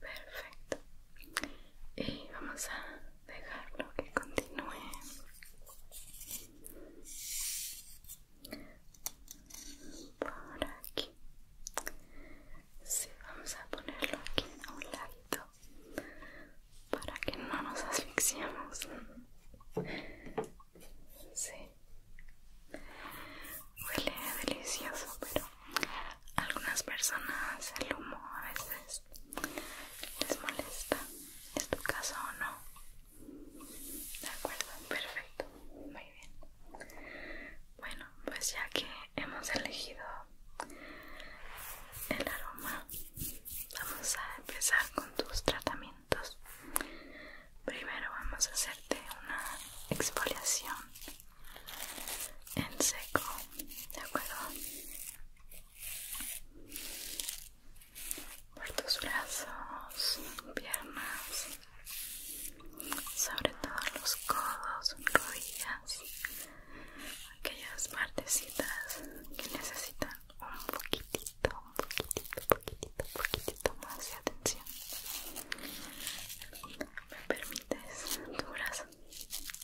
Perfecto. Y vamos a dejarlo que continúe. Por aquí. Sí, vamos a ponerlo aquí a un ladito para que no nos asfixiemos. Sí. Huele delicioso, pero algunas personas el humo a veces les molesta. ¿Es tu caso o no? De acuerdo, perfecto. Muy bien. Bueno, pues ya que hemos elegido el aroma, vamos a empezar con tus tratamientos. Primero vamos a hacerte una exfoliación en seco, ¿de acuerdo? Por tus brazos, piernas, sobre todo los codos, rodillas, aquellas partecitas que necesitan un poquitito, un poquitito, poquitito, poquitito más de atención. ¿Me permites tu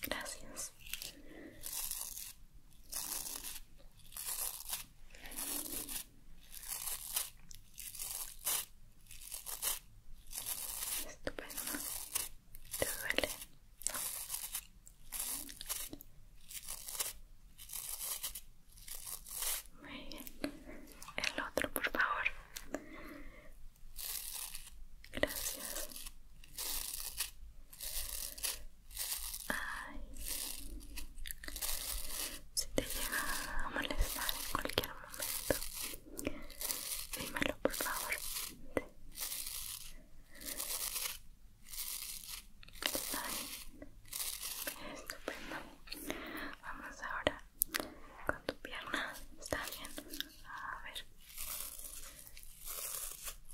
Gracias. Estupendo. ¿Te duele? El otro, por favor. Gracias. Ay. Si te llega a molestar en cualquier momento, dímelo por favor. Ay. Estupendo. Vamos ahora con tu pierna, está bien. A ver,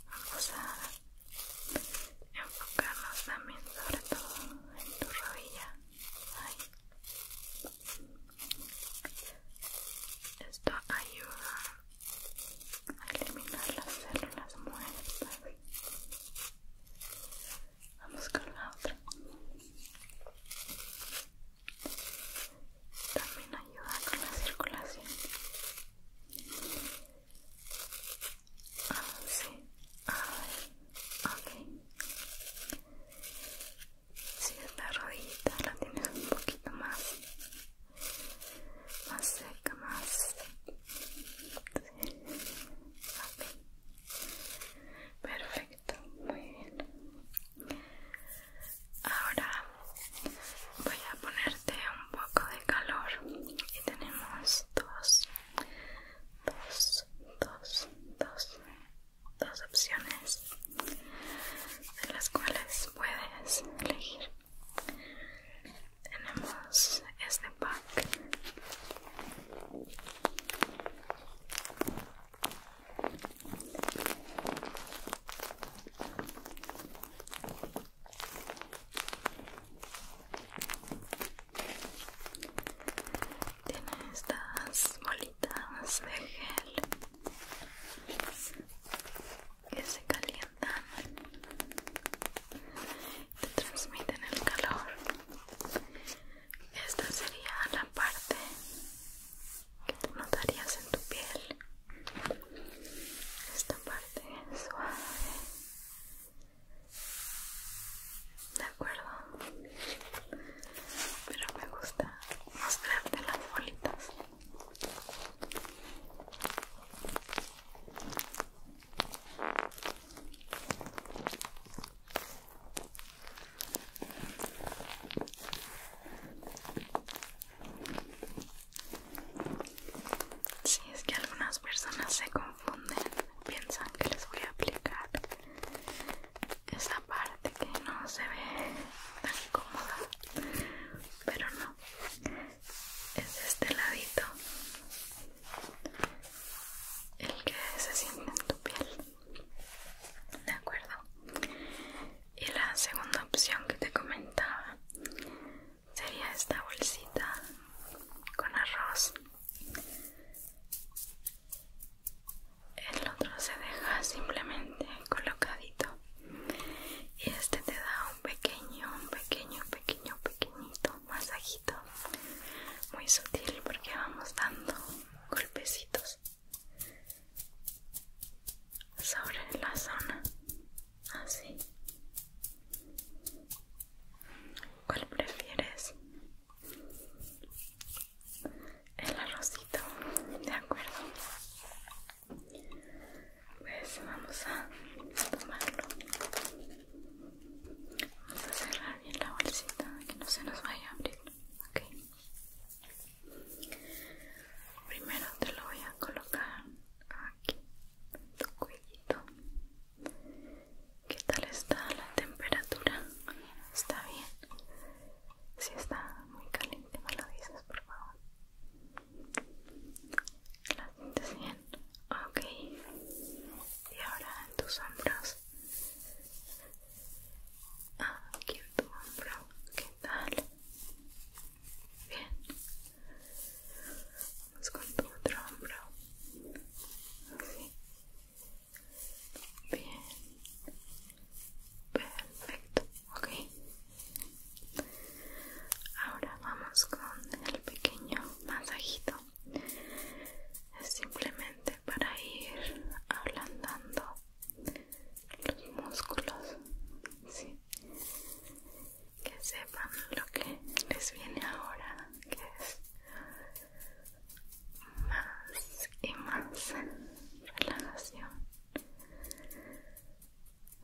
vamos a enfocarnos también, sobre todo en tu rodilla. Esto ayuda a eliminar las células muertas. Vamos con la otra también ayuda con la circulación ah, sí, ver, ah, ok si esta rodillita la tienes un poquito más más seca, más perfecto muy bien. Ahora voy a ponerte un poco de calor y tenemos dos, dos, dos, dos opciones de las cuales puedes elegir. Tenemos este pack tiene estas bolitas de gel que se calientan, te transmiten el calor. Esta sería la parte notarías en tu piel esta parte suave de acuerdo pero me gusta mostrarte las bolitas si es que algunas personas se confunden, piensan que les voy a aplicar esa parte que no se ve tan cómoda, pero no, es este ladito el que se siente en tu piel de acuerdo y la segunda opción que te comentaba sería esta bolsita con arroz el otro se deja simplemente colocadito y este te da un pequeño un pequeño pequeño pequeñito masajito muy sutil porque vamos dando golpecitos sobre la zona así cuál prefieres el arrocito de acuerdo pues vamos a tomarlo vamos a cerrar bien la bolsita que no se nos vaya a abrir ok Primero te lo voy a colocar aquí, tu cuellito. ¿Qué tal está la temperatura? ¿Está bien? Si está muy caliente, me lo dices, por favor. ¿La sientes bien? Ok. Y ahora en tus hombros aquí en tu hombro, ¿qué tal? Bien, vamos con tu otro hombro, así, bien, perfecto, ok. Ahora vamos con el pequeño masajito, es simplemente para ir ablandando los músculos, sí, que sepan lo que les viene ahora, que es más y más relajación.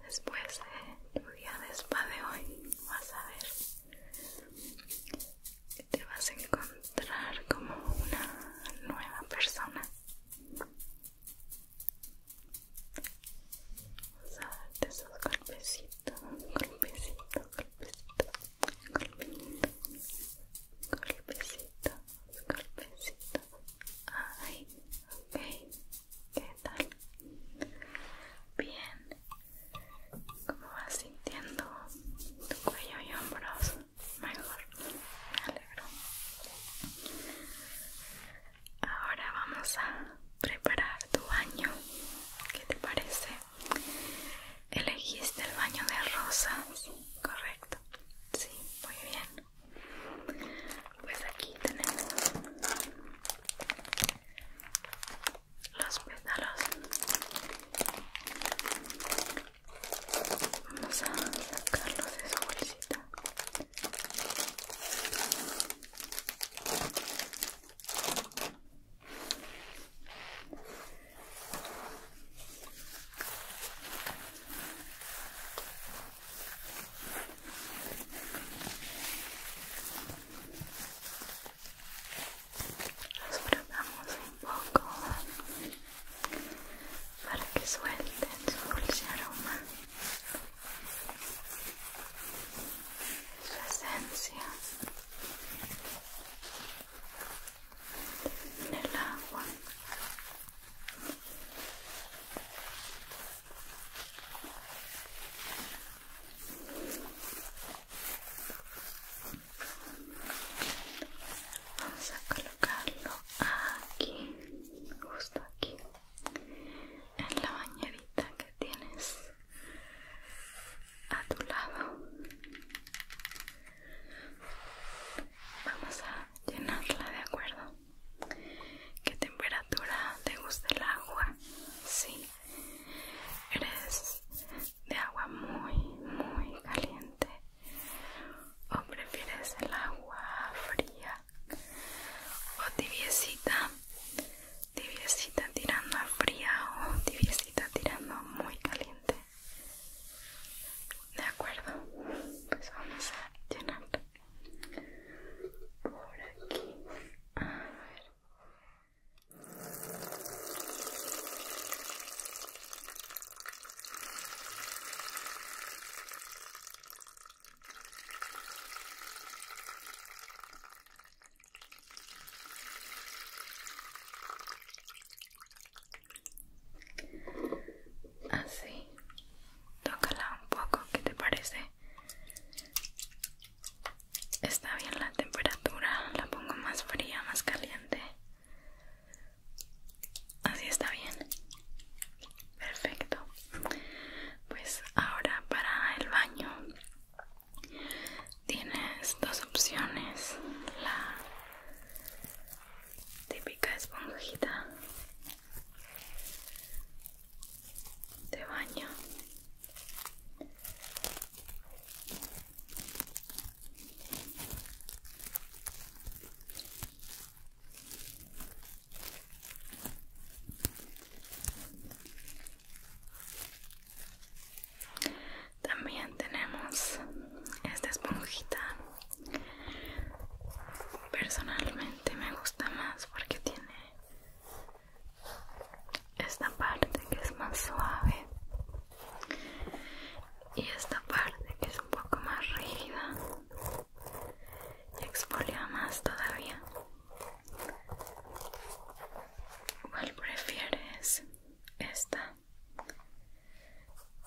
Después de tu día de spa de hoy, vas a ver, que te vas a encontrar como una nueva persona Vamos a darte esos golpecitos, golpecitos, golpecitos, golpecitos, golpecitos, golpecitos. Ay, ok, ¿qué tal? Bien, ¿cómo vas sintiendo tu cuello y hombros? mejor, me alegro. Ahora vamos a preparar tu baño. ¿Qué te parece? Elegiste el baño de rosas, correcto. Sí, muy bien. Pues aquí tenemos los pétalos Vamos a sacarlos de su bolsita. Los probamos un poco para que suelten su dulce aroma, su esencia en el agua. Vamos a colocar colocarlo aquí, justo aquí, en la bañerita que tienes a tu lado. Vamos a llenarla, ¿de acuerdo? ¿Qué temperatura te gusta el agua? Sí, eres de agua muy, muy caliente ¿O prefieres el agua fría o tibiecita? Tibiecita tirando a fría o tibiecita tirando muy caliente. De acuerdo, pues vamos a llenar por aquí. A ver. Así, tócala un poco, ¿qué te parece? Está bien la temperatura, la pongo más fría, más caliente. Así está bien. Perfecto. Pues ahora para el baño tienes dos opciones. La típica esponjita de baño también tenemos esta esponjita. Personalmente me gusta más porque tiene esta parte que es más suave y esta parte que es un poco más rígida exfolia más todavía ¿cuál prefieres? ¿esta?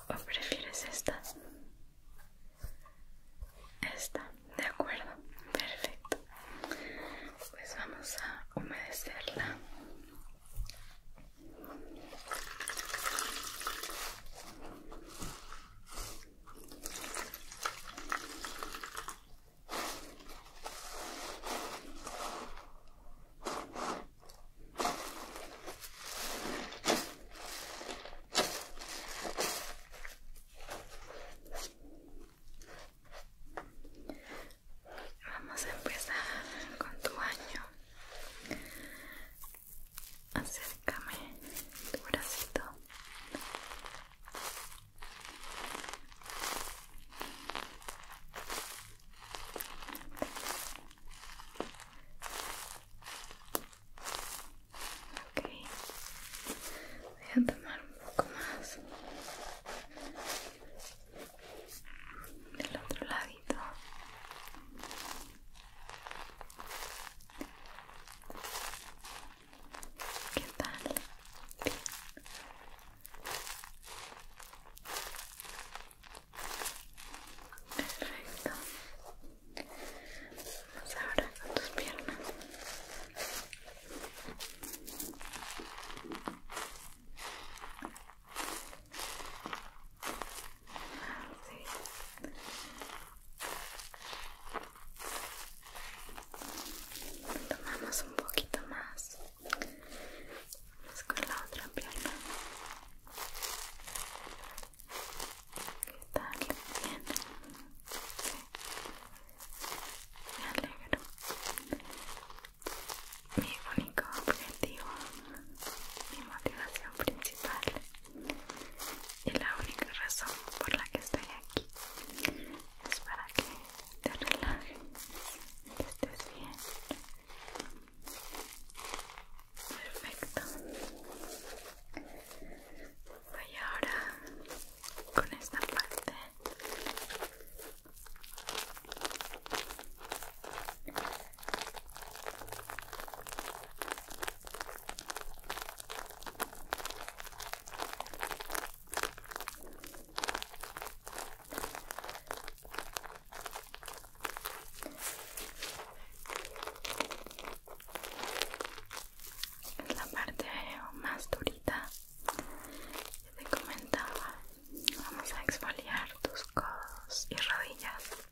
¿o prefieres esta? esta, de acuerdo, perfecto pues vamos a humedecerla Vamos a empezar con tu año acércame tu bracito ok voy a tomar un poco más del otro ladito ¿Qué tal? Bien. Perfecto. Vamos ahora con tus piernas. Tomamos un poquito más. Vamos con la otra pierna. Está Bien. Me alegro. Mi único objetivo, mi motivación principal y la única razón por la que estoy aquí es para que te relajes, que estés bien. Perfecto. Voy ahora con esta parte. Es la parte más durita que te comentaba. Vamos a exfoliar tus codos y rodillas.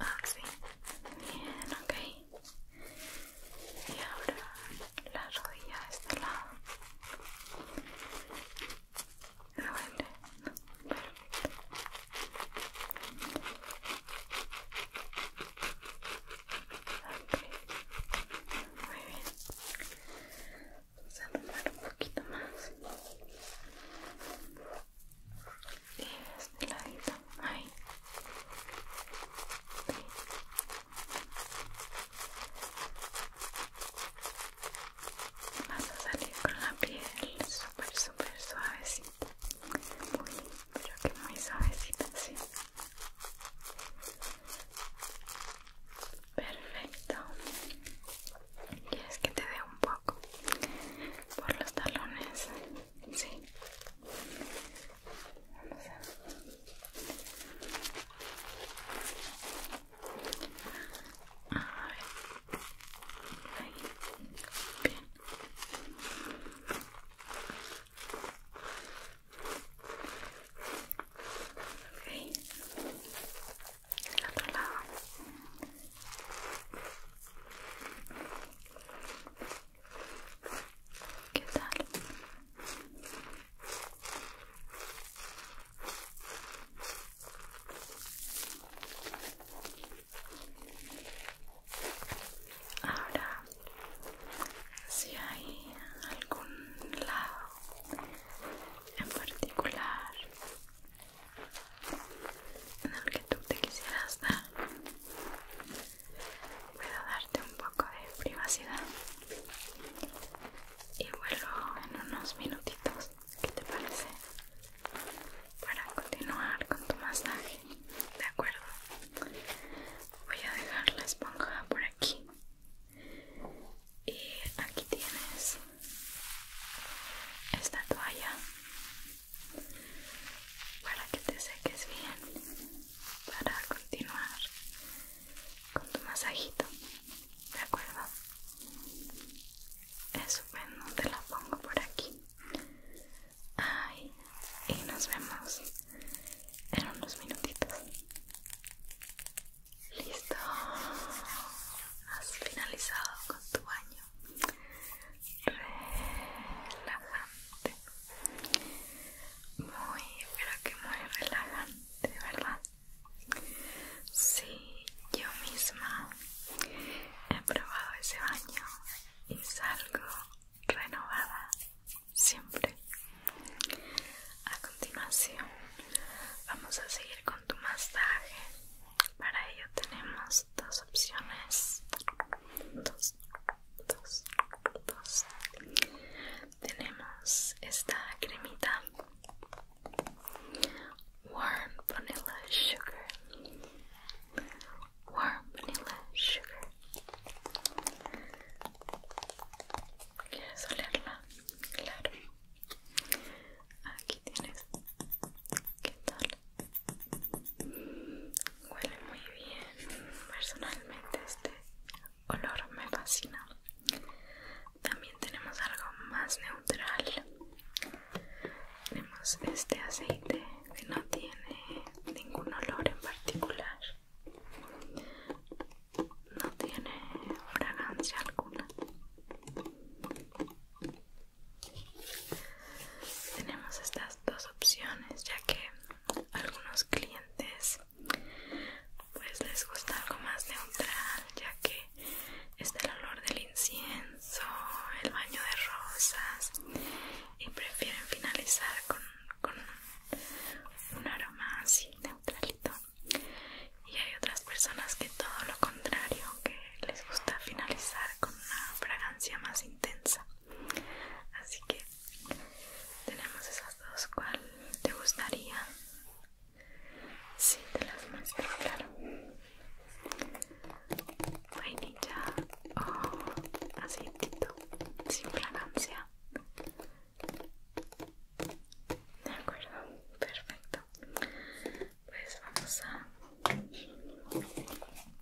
Ah, sí. Bien, ok. Y ahora la rodilla de este lado. ¿No No, perfecto. Ok. Muy bien. Vamos a tomar un poquito más y este ladito ahí vas a salir con la piel súper súper suavecita muy pero que muy suavecita sí perfecto quieres que te dé un poco por los talones Sí. Vamos a... A ver. Ahí. Bien. Okay. El otro lado. ¿Qué tal? Ahora, si hay algún lado en particular en el que tú te quisieras dar. Puedo darte un poco de privacidad y vuelvo en unos minutitos. ¿Qué te parece? Para continuar con tu masaje, ¿de acuerdo? Voy a dejar la esponja por aquí. Y aquí tienes esta toalla para que te seques bien para continuar con tu masajito de acuerdo eso bueno te la pongo por aquí Ay, y nos vemos en unos minutitos listo has finalizado con tu baño relajante muy pero que muy relajante verdad sí yo misma he probado ese baño y salgo renovada siempre a continuación vamos a seguir con tu masaje para ello tenemos dos opciones dos, dos, dos. Tenemos esta cremita Warm Vanilla Sugar. Warm Vanilla Sugar. ¿Quieres olerla? Claro. Aquí tienes. ¿Qué tal? Huele muy bien. Personalmente este olor me fascina. También tenemos algo más neutral. Tenemos este aceite que no tiene ningún olor en particular. No tiene fragancia alguna tenemos estas dos opciones ya que algunos clientes pues les gusta algo más neutral ya que es el olor del incienso el baño de rosas y prefieren finalizar con, con un aroma así neutralito y hay otras personas que todo lo contrario que les gusta finalizar con una fragancia más intensa Así que tenemos esas dos. ¿Cuál te gustaría? si te las muestro, claro. Vainilla o oh, aceitito sin fragancia. De acuerdo, perfecto. Pues vamos a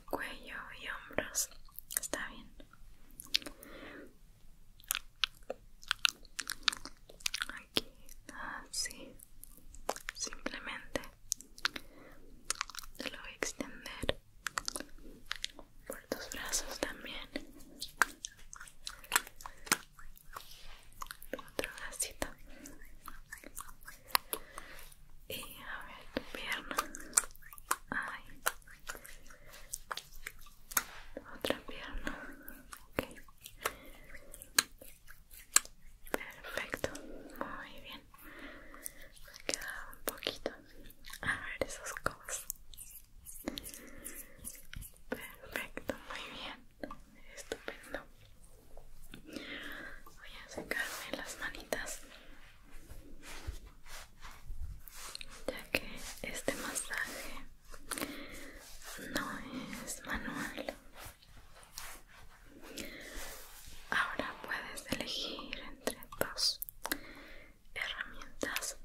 cuello y hombros. Está bien. Aquí, así. Simplemente te lo voy a extender por tus brazos también. Otro bracito. Y a ver pierna. Ay. Otra pierna. Ok. Perfecto. Muy bien. Me queda un poquito. A ver esas cosas. Perfecto, muy bien. Estupendo. Voy a secarme las manitas ya que este masaje no es manual ahora puedes elegir entre dos herramientas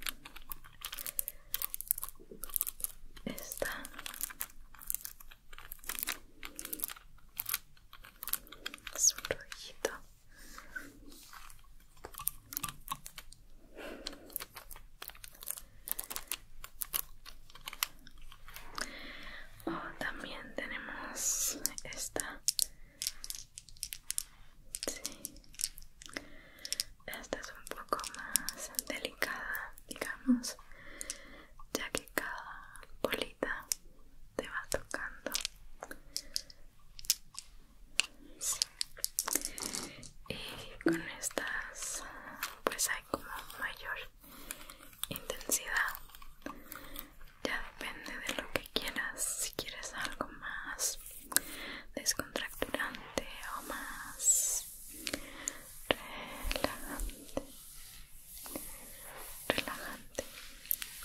esta es un oh, también tenemos esta esta es un poco más delicada digamos ya que cada bolita te va tocando y con estas pues hay como mayor intensidad ya depende de lo que quieras si quieres algo más descontracturante o más relajante relajante,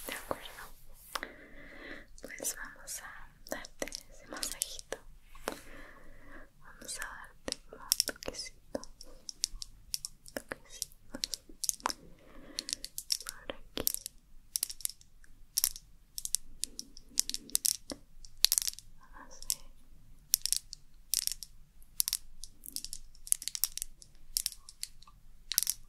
¿de acuerdo? Pues vamos a darte ese masajito. Vamos a darte un toquecitos, toquecitos por aquí. Vamos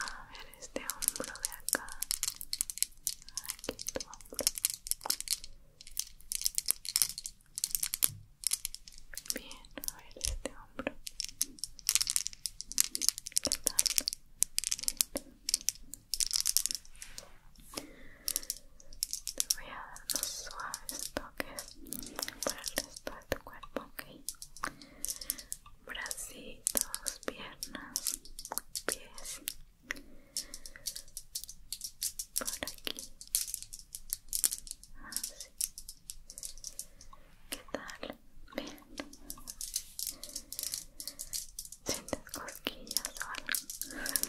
a ver este hombro de acá aquí tu hombro bien a ver este hombro ¿Qué tal? Te voy a dar unos suaves toques para el resto de tu cuerpo, ok bracitos, piernas, pies por aquí así ¿qué tal? bien sientes cosquillas o algo aquí así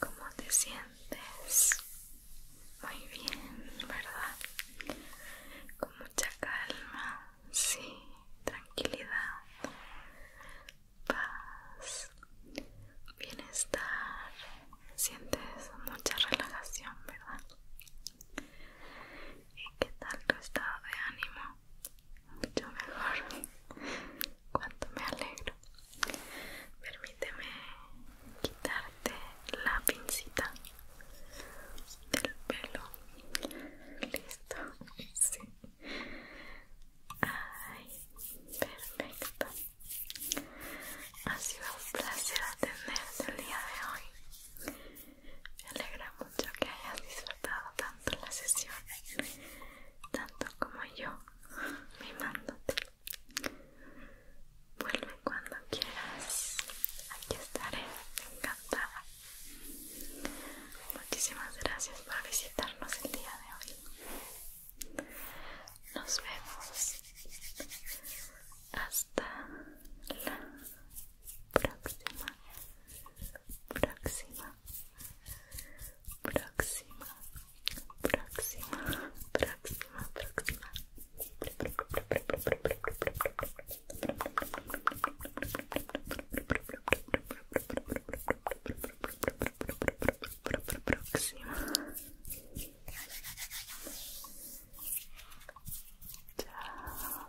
¿Cómo te sientes? Muy bien, ¿verdad? Con mucha calma, sí, tranquilidad, paz, bienestar. Sientes mucha relajación, ¿verdad? ¿Y qué tal tu estado de ánimo mucho mejor. Cuánto me alegro. Permíteme quitarte la pincita del pelo. Listo. Ay, perfecto. Ha sido un placer atenderte el día de hoy. Me alegra mucho que hayas disfrutado tanto la sesión, tanto como yo mando Vuelve cuando quieras, aquí estaré, encantada. Muchísimas gracias por visitarnos el día de hoy. Nos vemos hasta la próxima, próxima próxima, próxima, próxima, próxima. Próxima. Ciao.